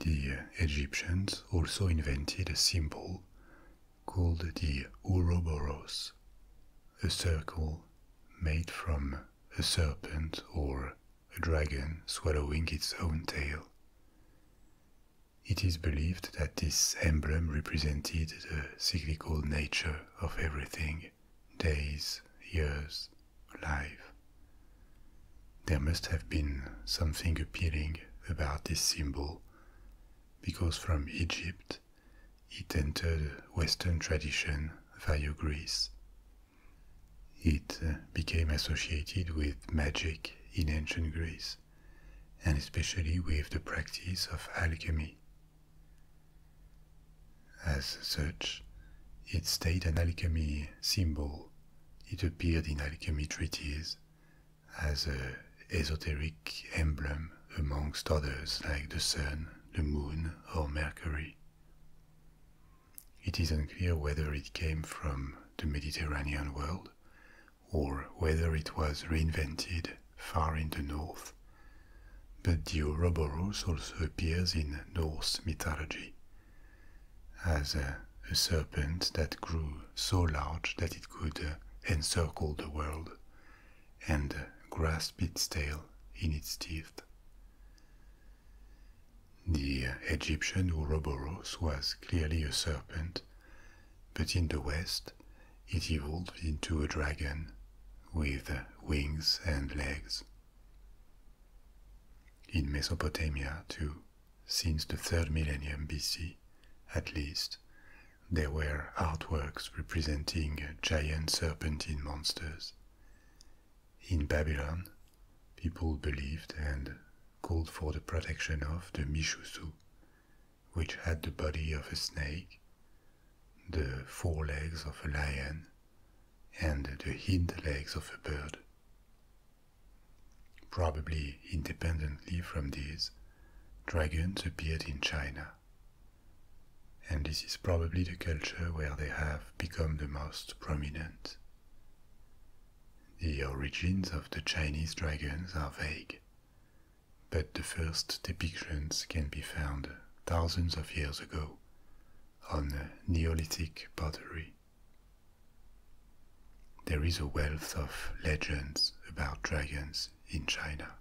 The uh, Egyptians also invented a symbol called the Ouroboros, a circle made from a serpent or a dragon swallowing its own tail. It is believed that this emblem represented the cyclical nature of everything days, years, life. There must have been something appealing about this symbol, because from Egypt it entered Western tradition via Greece. It uh, became associated with magic in ancient Greece and especially with the practice of alchemy. As such, it stayed an alchemy symbol. It appeared in alchemy treatises as an esoteric emblem amongst others like the sun, the moon, or Mercury. It is unclear whether it came from the Mediterranean world or whether it was reinvented far in the north. But the Ouroboros also appears in Norse mythology as a, serpent that grew so large that it could uh, encircle the world and uh, grasp its tail in its teeth. The Egyptian Ouroboros was clearly a serpent but in the West, it evolved into a dragon with wings and legs. In Mesopotamia, too, since the third millennium BC at least, there were artworks representing giant serpentine monsters. In Babylon, people believed and called for the protection of the Mishusu, which had the body of a snake, the forelegs of a lion, and the hind legs of a bird. Probably independently from these, dragons appeared in China. And this is probably the culture where they have become the most prominent. The origins of the Chinese dragons are vague but the first depictions can be found thousands of years ago on Neolithic pottery. There is a wealth of legends about dragons in China.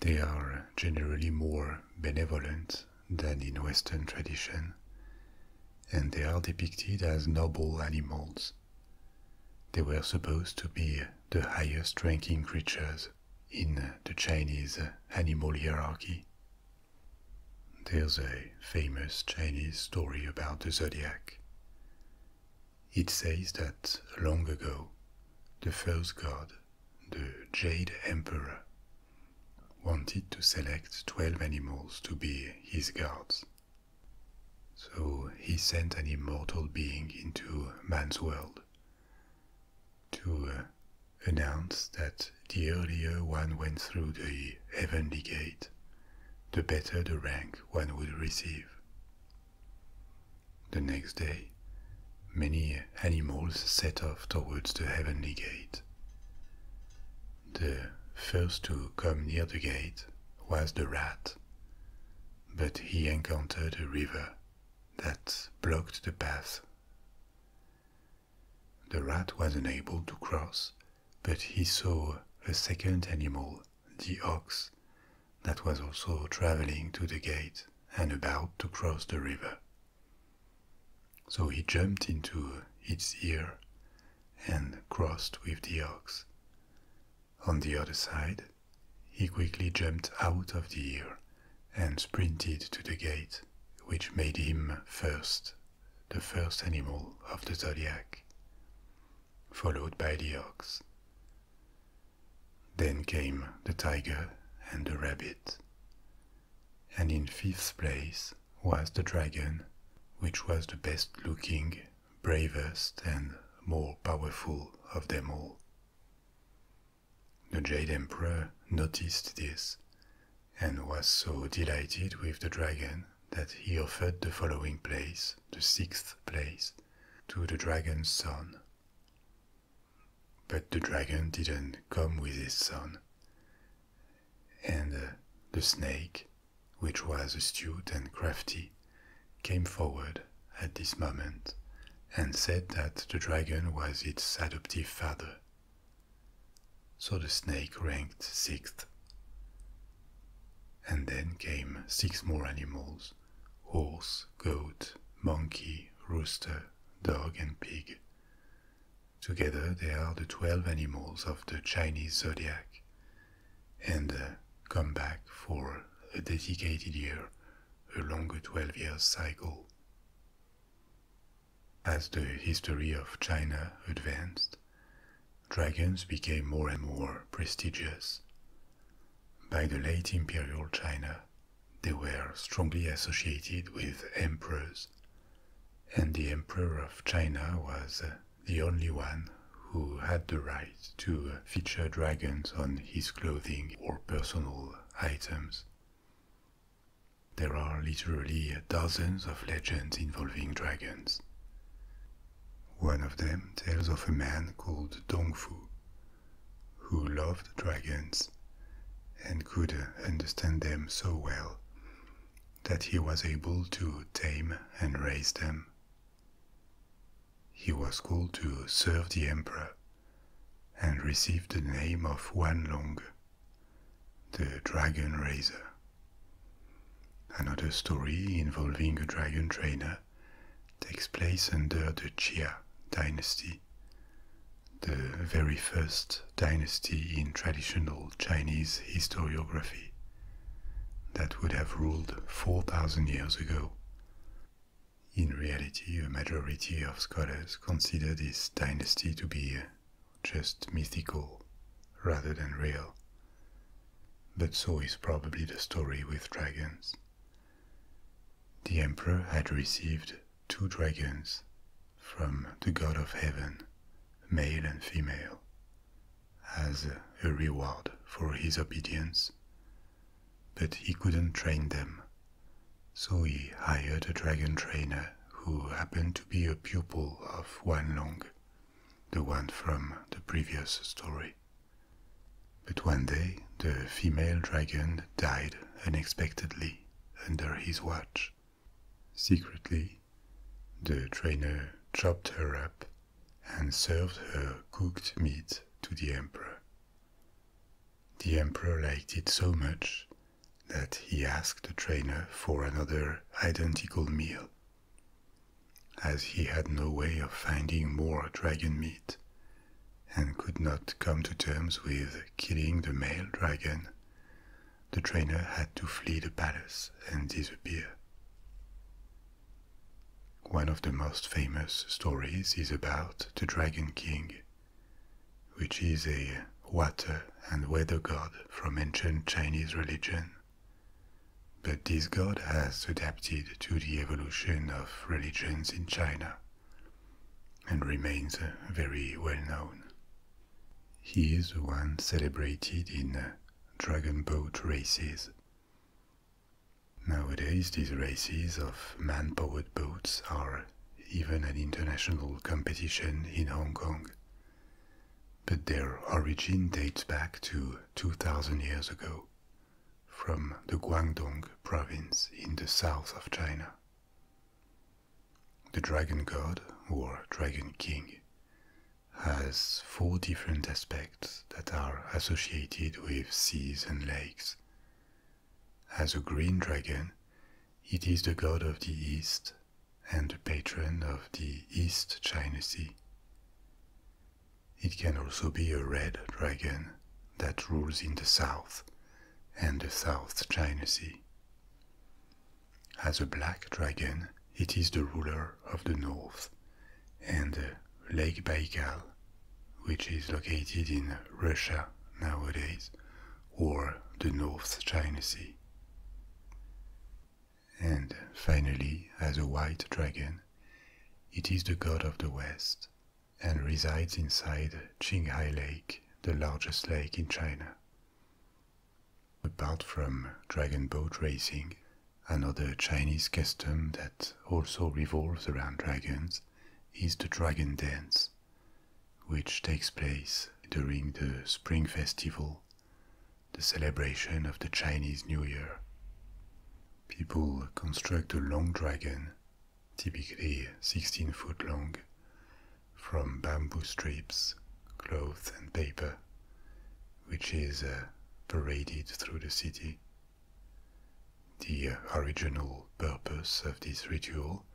They are generally more benevolent than in Western tradition, and they are depicted as noble animals they were supposed to be the highest ranking creatures in the Chinese animal hierarchy. There's a famous Chinese story about the zodiac. It says that long ago, the first god, the Jade Emperor, wanted to select 12 animals to be his guards. So he sent an immortal being into man's world to uh, announce that the earlier one went through the heavenly gate, the better the rank one would receive. The next day, many animals set off towards the heavenly gate. The first to come near the gate was the rat, but he encountered a river that blocked the path. The rat was unable to cross, but he saw a second animal, the ox, that was also traveling to the gate and about to cross the river. So he jumped into its ear and crossed with the ox. On the other side, he quickly jumped out of the ear and sprinted to the gate, which made him first, the first animal of the zodiac, followed by the ox. Then came the tiger and the rabbit. And in fifth place was the dragon, which was the best looking bravest and more powerful of them all. The Jade Emperor noticed this and was so delighted with the dragon that he offered the following place, the sixth place, to the dragon's son. But the dragon didn't come with his son. And uh, the snake, which was astute and crafty, came forward at this moment and said that the dragon was its adoptive father. So the snake ranked sixth. And then came six more animals horse, goat, monkey, rooster, dog, and pig. Together they are the twelve animals of the Chinese zodiac, and uh, come back for a dedicated year a longer 12 years cycle. As the history of China advanced, dragons became more and more prestigious. By the late imperial China, they were strongly associated with emperors, and the emperor of China was uh, the only one who had the right to feature dragons on his clothing or personal items. There are literally dozens of legends involving dragons. One of them tells of a man called Dongfu, who loved dragons and could understand them so well that he was able to tame and raise them. He was called to serve the emperor and received the name of Wanlong, the dragon raiser. Another story involving a dragon trainer takes place under the Chia dynasty, the very first dynasty in traditional Chinese historiography that would have ruled 4,000 years ago in reality, a majority of scholars consider this dynasty to be just mythical rather than real. But so is probably the story with dragons. The emperor had received two dragons from the god of heaven, male and female, as a reward for his obedience, but he couldn't train them. So he hired a dragon trainer who happened to be a pupil of Wan the one from the previous story. But one day, the female dragon died unexpectedly under his watch. Secretly, the trainer chopped her up and served her cooked meat to the emperor. The emperor liked it so much that he asked the trainer for another identical meal. As he had no way of finding more dragon meat and could not come to terms with killing the male dragon, the trainer had to flee the palace and disappear. One of the most famous stories is about the Dragon King, which is a water and weather god from ancient Chinese religion. But this god has adapted to the evolution of religions in China and remains very well known. He is the one celebrated in dragon boat races Nowadays, these races of man powered boats are even an international competition in Hong Kong, but their origin dates back to 2000 years ago from the Guangdong province in the south of China. The dragon god, or dragon king, has four different aspects that are associated with seas and lakes. As a green dragon, it is the god of the East and the patron of the East China Sea. It can also be a red dragon that rules in the South and the South China Sea. As a black dragon, it is the ruler of the North and Lake Baikal, which is located in Russia nowadays, or the North China Sea. And finally, as a white dragon, it is the god of the West and resides inside Qinghai Lake, the largest lake in China. Apart from dragon boat racing, Another Chinese custom that also revolves around dragons is the Dragon Dance, which takes place during the Spring Festival, the celebration of the Chinese New Year. People construct a long dragon, typically 16 foot long, from bamboo strips, cloth, and paper, which is uh, paraded through the city. The original purpose of this ritual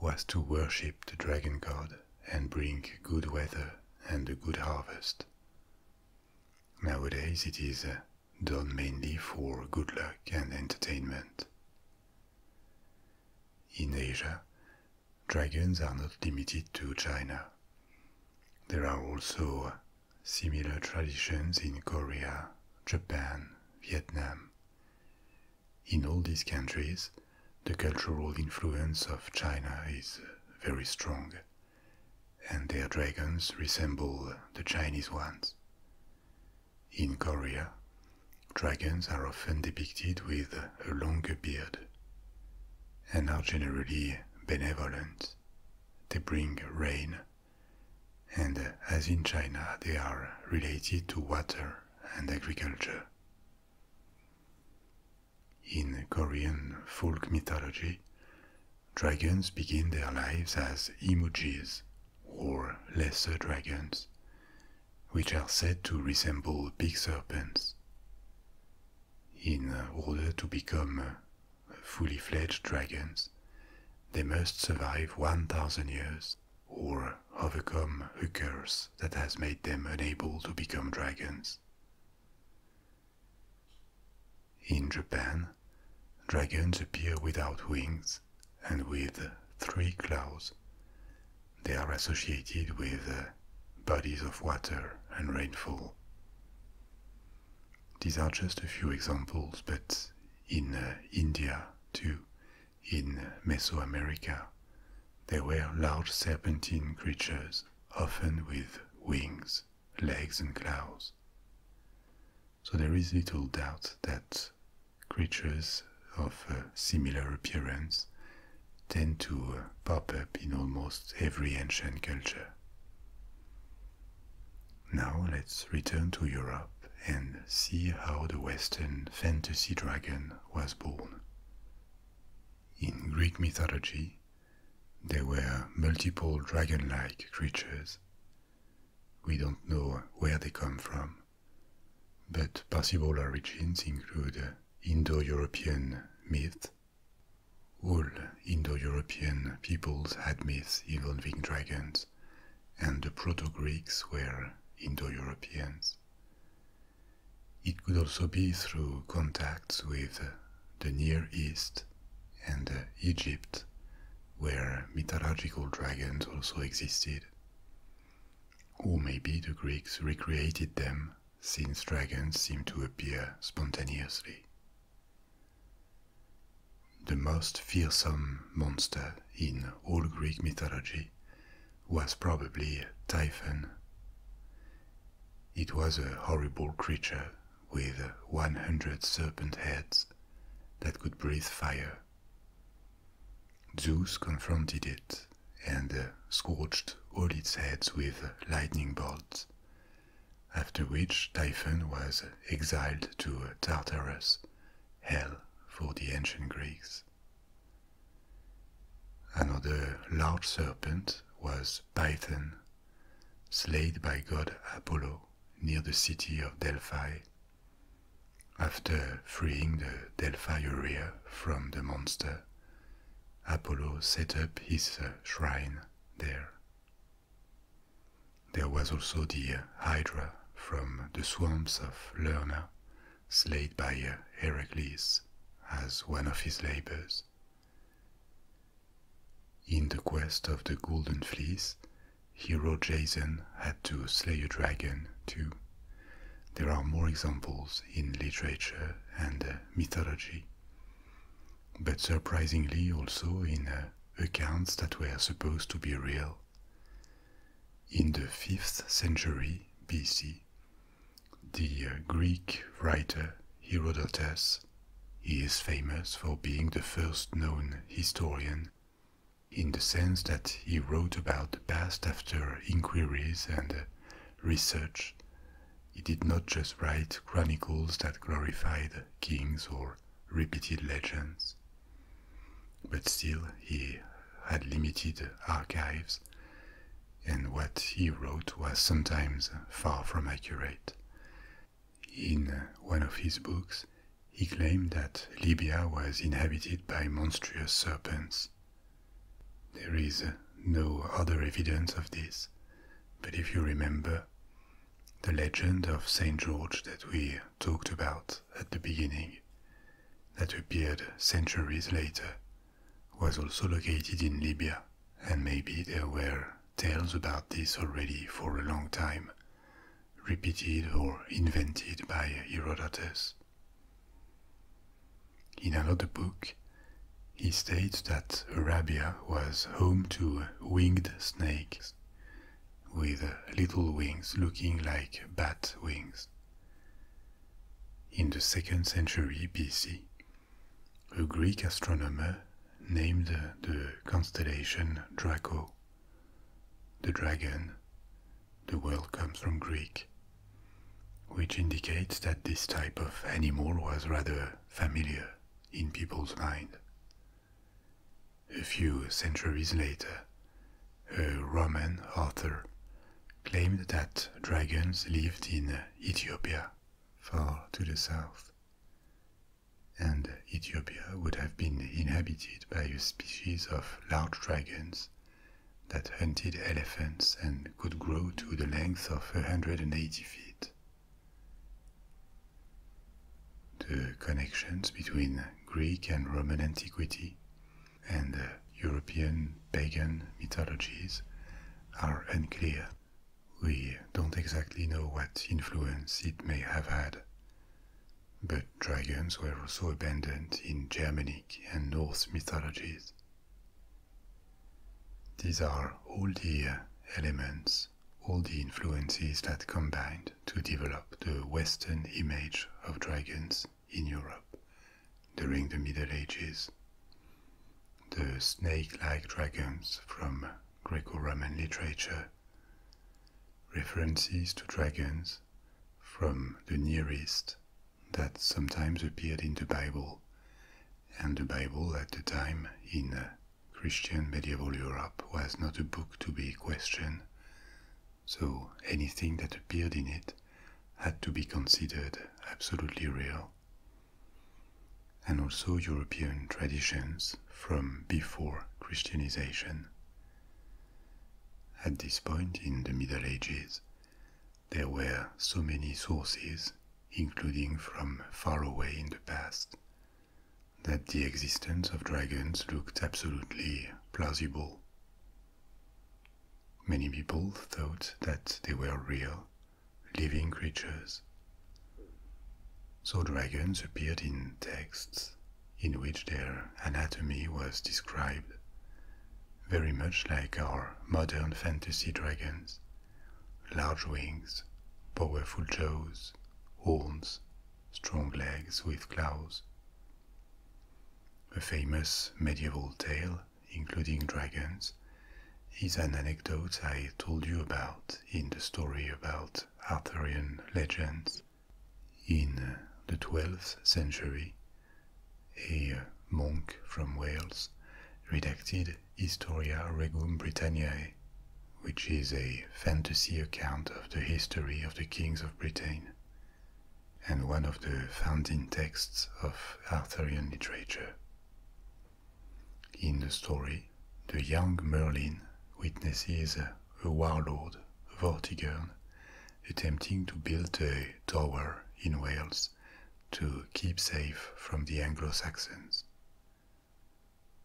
was to worship the dragon god and bring good weather and a good harvest. Nowadays it is uh, done mainly for good luck and entertainment. In Asia, dragons are not limited to China. There are also uh, similar traditions in Korea, Japan, Vietnam. In all these countries, the cultural influence of China is very strong, and their dragons resemble the Chinese ones. In Korea, dragons are often depicted with a long beard and are generally benevolent. They bring rain and as in China, they are related to water and agriculture. In Korean folk mythology, dragons begin their lives as emojis or lesser dragons, which are said to resemble big serpents. In order to become fully fledged dragons, they must survive 1000 years or overcome a curse that has made them unable to become dragons. In Japan, dragons appear without wings and with three claws. They are associated with bodies of water and rainfall. These are just a few examples, but in uh, India too, in Mesoamerica, there were large serpentine creatures, often with wings, legs, and claws. So there is little doubt that creatures of a uh, similar appearance tend to uh, pop up in almost every ancient culture. Now let's return to Europe and see how the Western fantasy dragon was born. In Greek mythology, there were multiple dragon like creatures. We don't know where they come from, but possible origins include Indo European myth. All Indo European peoples had myths involving dragons and the Proto Greeks were Indo Europeans. It could also be through contacts with the Near East and Egypt, where mythological dragons also existed. Or maybe the Greeks recreated them, since dragons seem to appear spontaneously. The most fearsome monster in all Greek mythology was probably Typhon. It was a horrible creature with 100 serpent heads that could breathe fire. Zeus confronted it and scorched all its heads with lightning bolts, after which Typhon was exiled to Tartarus, hell for the ancient Greeks. Another large serpent was Python, slain by god Apollo near the city of Delphi, after freeing the Delphi area from the monster. Apollo set up his shrine there. There was also the Hydra from the swamps of Lerna, slain by uh, Heracles as one of his labors. In the quest of the Golden Fleece, hero Jason had to slay a dragon too. There are more examples in literature and uh, mythology, but surprisingly also in uh, accounts that were supposed to be real. In the 5th century BC, the uh, Greek writer Herodotus, he is famous for being the first known historian in the sense that he wrote about the past after inquiries and uh, research. He did not just write chronicles that glorified kings or repeated legends. But still, he had limited archives, and what he wrote was sometimes far from accurate. In one of his books, he claimed that Libya was inhabited by monstrous serpents. There is no other evidence of this, but if you remember, the legend of St. George that we talked about at the beginning, that appeared centuries later, was also located in Libya, and maybe there were tales about this already for a long time, repeated or invented by Herodotus. In another book, he states that Arabia was home to winged snakes with little wings looking like bat wings. In the second century BC, a Greek astronomer named the constellation Draco, the dragon. The word comes from Greek, which indicates that this type of animal was rather familiar in people's mind. A few centuries later, a Roman author claimed that dragons lived in Ethiopia, far to the south, and Ethiopia would have been inhabited by a species of large dragons that hunted elephants and could grow to the length of 180 feet. The connections between Greek and Roman antiquity and European pagan mythologies are unclear. We don't exactly know what influence it may have had, but dragons were also abundant in Germanic and Norse mythologies. These are all the elements, all the influences that combined to develop the Western image of dragons in Europe during the Middle Ages. The snake like dragons from Greco Roman literature, references to dragons from the Near East that sometimes appeared in the Bible, and the Bible at the time in uh, Christian medieval Europe was not a book to be questioned, so anything that appeared in it had to be considered absolutely real. And also European traditions from before Christianization. At this point in the Middle Ages, there were so many sources, including from far away in the past, that the existence of dragons looked absolutely plausible. Many people thought that they were real, living creatures. So dragons appeared in texts in which their anatomy was described, very much like our modern fantasy dragons large wings, powerful jaws, horns, strong legs with claws. A famous medieval tale, including dragons, is an anecdote I told you about in the story about Arthurian legends. In the 12th century, a monk from Wales redacted Historia Regum Britanniae, which is a fantasy account of the history of the kings of Britain and one of the founding texts of Arthurian literature. In the story, the young Merlin witnesses a warlord, Vortigern, attempting to build a tower in Wales to keep safe from the Anglo Saxons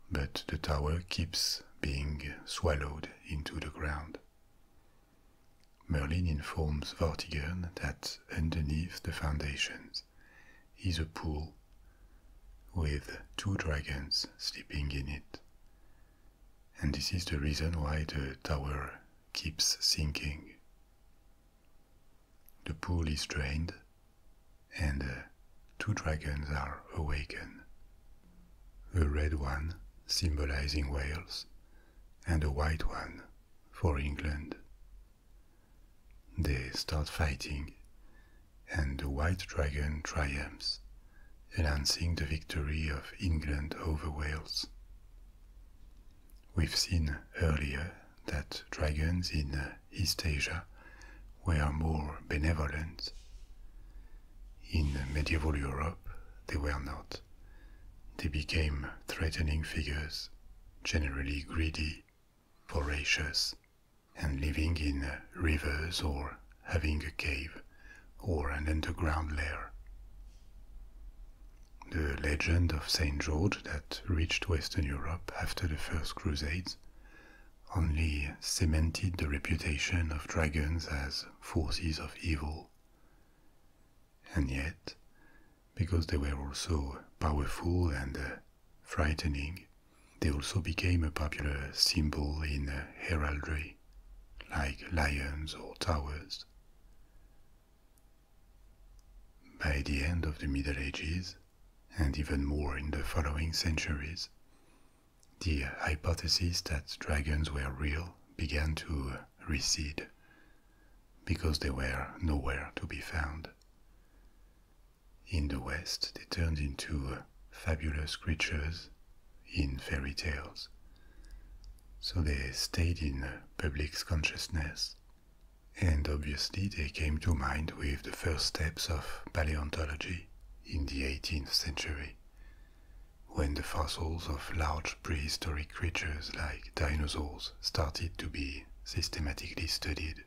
but the tower keeps being swallowed into the ground. Merlin informs Vortigern that underneath the foundations is a pool with two dragons sleeping in it. And this is the reason why the tower keeps sinking. The pool is drained and uh, two dragons are awakened a red one symbolizing Wales, and a white one for England. They start fighting, and the white dragon triumphs, announcing the victory of England over Wales. We've seen earlier that dragons in East Asia were more benevolent. In medieval Europe, they were not. They became threatening figures, generally greedy, voracious, and living in rivers or having a cave or an underground lair. The legend of St. George that reached Western Europe after the First Crusades only cemented the reputation of dragons as forces of evil. And yet, because they were also powerful and uh, frightening, they also became a popular symbol in uh, heraldry, like lions or towers. By the end of the Middle Ages, and even more in the following centuries, the hypothesis that dragons were real began to recede because they were nowhere to be found. In the West, they turned into fabulous creatures in fairy tales. So they stayed in public's consciousness, and obviously they came to mind with the first steps of paleontology in the 18th century when the fossils of large prehistoric creatures like dinosaurs started to be systematically studied.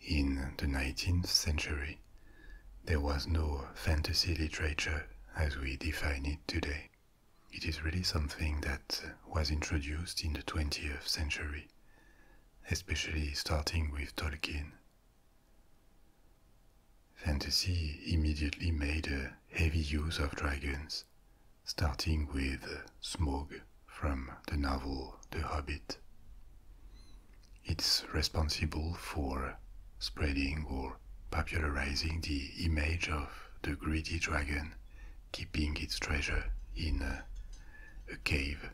In the 19th century, there was no fantasy literature as we define it today. It is really something that was introduced in the 20th century, especially starting with Tolkien. Fantasy immediately made a heavy use of dragons, starting with Smaug from the novel The Hobbit. It's responsible for spreading or popularizing the image of the greedy dragon keeping its treasure in a, cave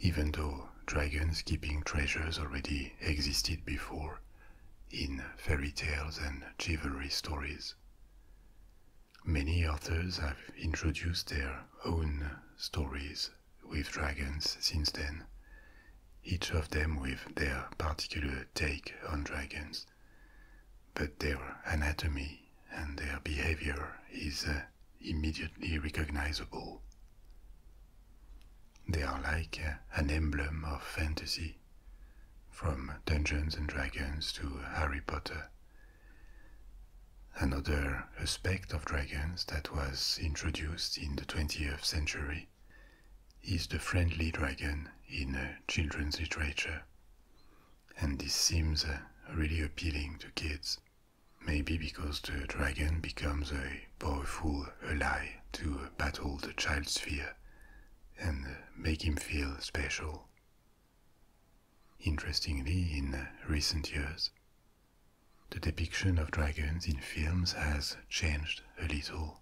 even though dragons keeping treasures already existed before in fairy tales and chivalry stories. Many authors have introduced their own stories with dragons since then, each of them with their particular take on dragons, but their anatomy and their behavior is uh, immediately recognizable. They are like uh, an emblem of fantasy, from Dungeons and Dragons to Harry Potter. Another aspect of dragons that was introduced in the 20th century is the friendly dragon in uh, children's literature, and this seems uh, really appealing to kids maybe because the dragon becomes a powerful ally to battle the child's fear and make him feel special. Interestingly, in recent years, the depiction of dragons in films has changed a little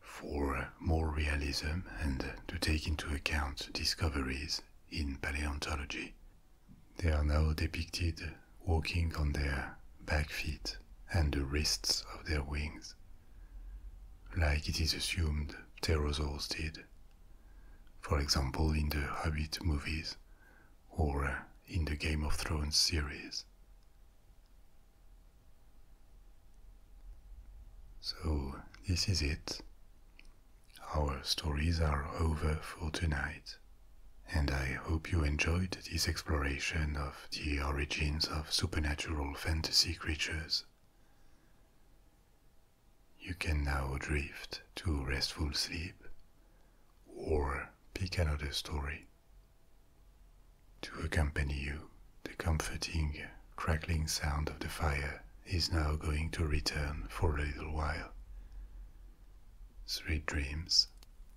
for more realism and to take into account discoveries in paleontology. They are now depicted walking on their back feet and the wrists of their wings, like it is assumed pterosaurs did, for example in the Hobbit movies or in the Game of Thrones series. So, this is it. Our stories are over for tonight and I hope you enjoyed this exploration of the origins of supernatural fantasy creatures. You can now drift to restful sleep or pick another story. To accompany you, the comforting, crackling sound of the fire is now going to return for a little while. Sweet dreams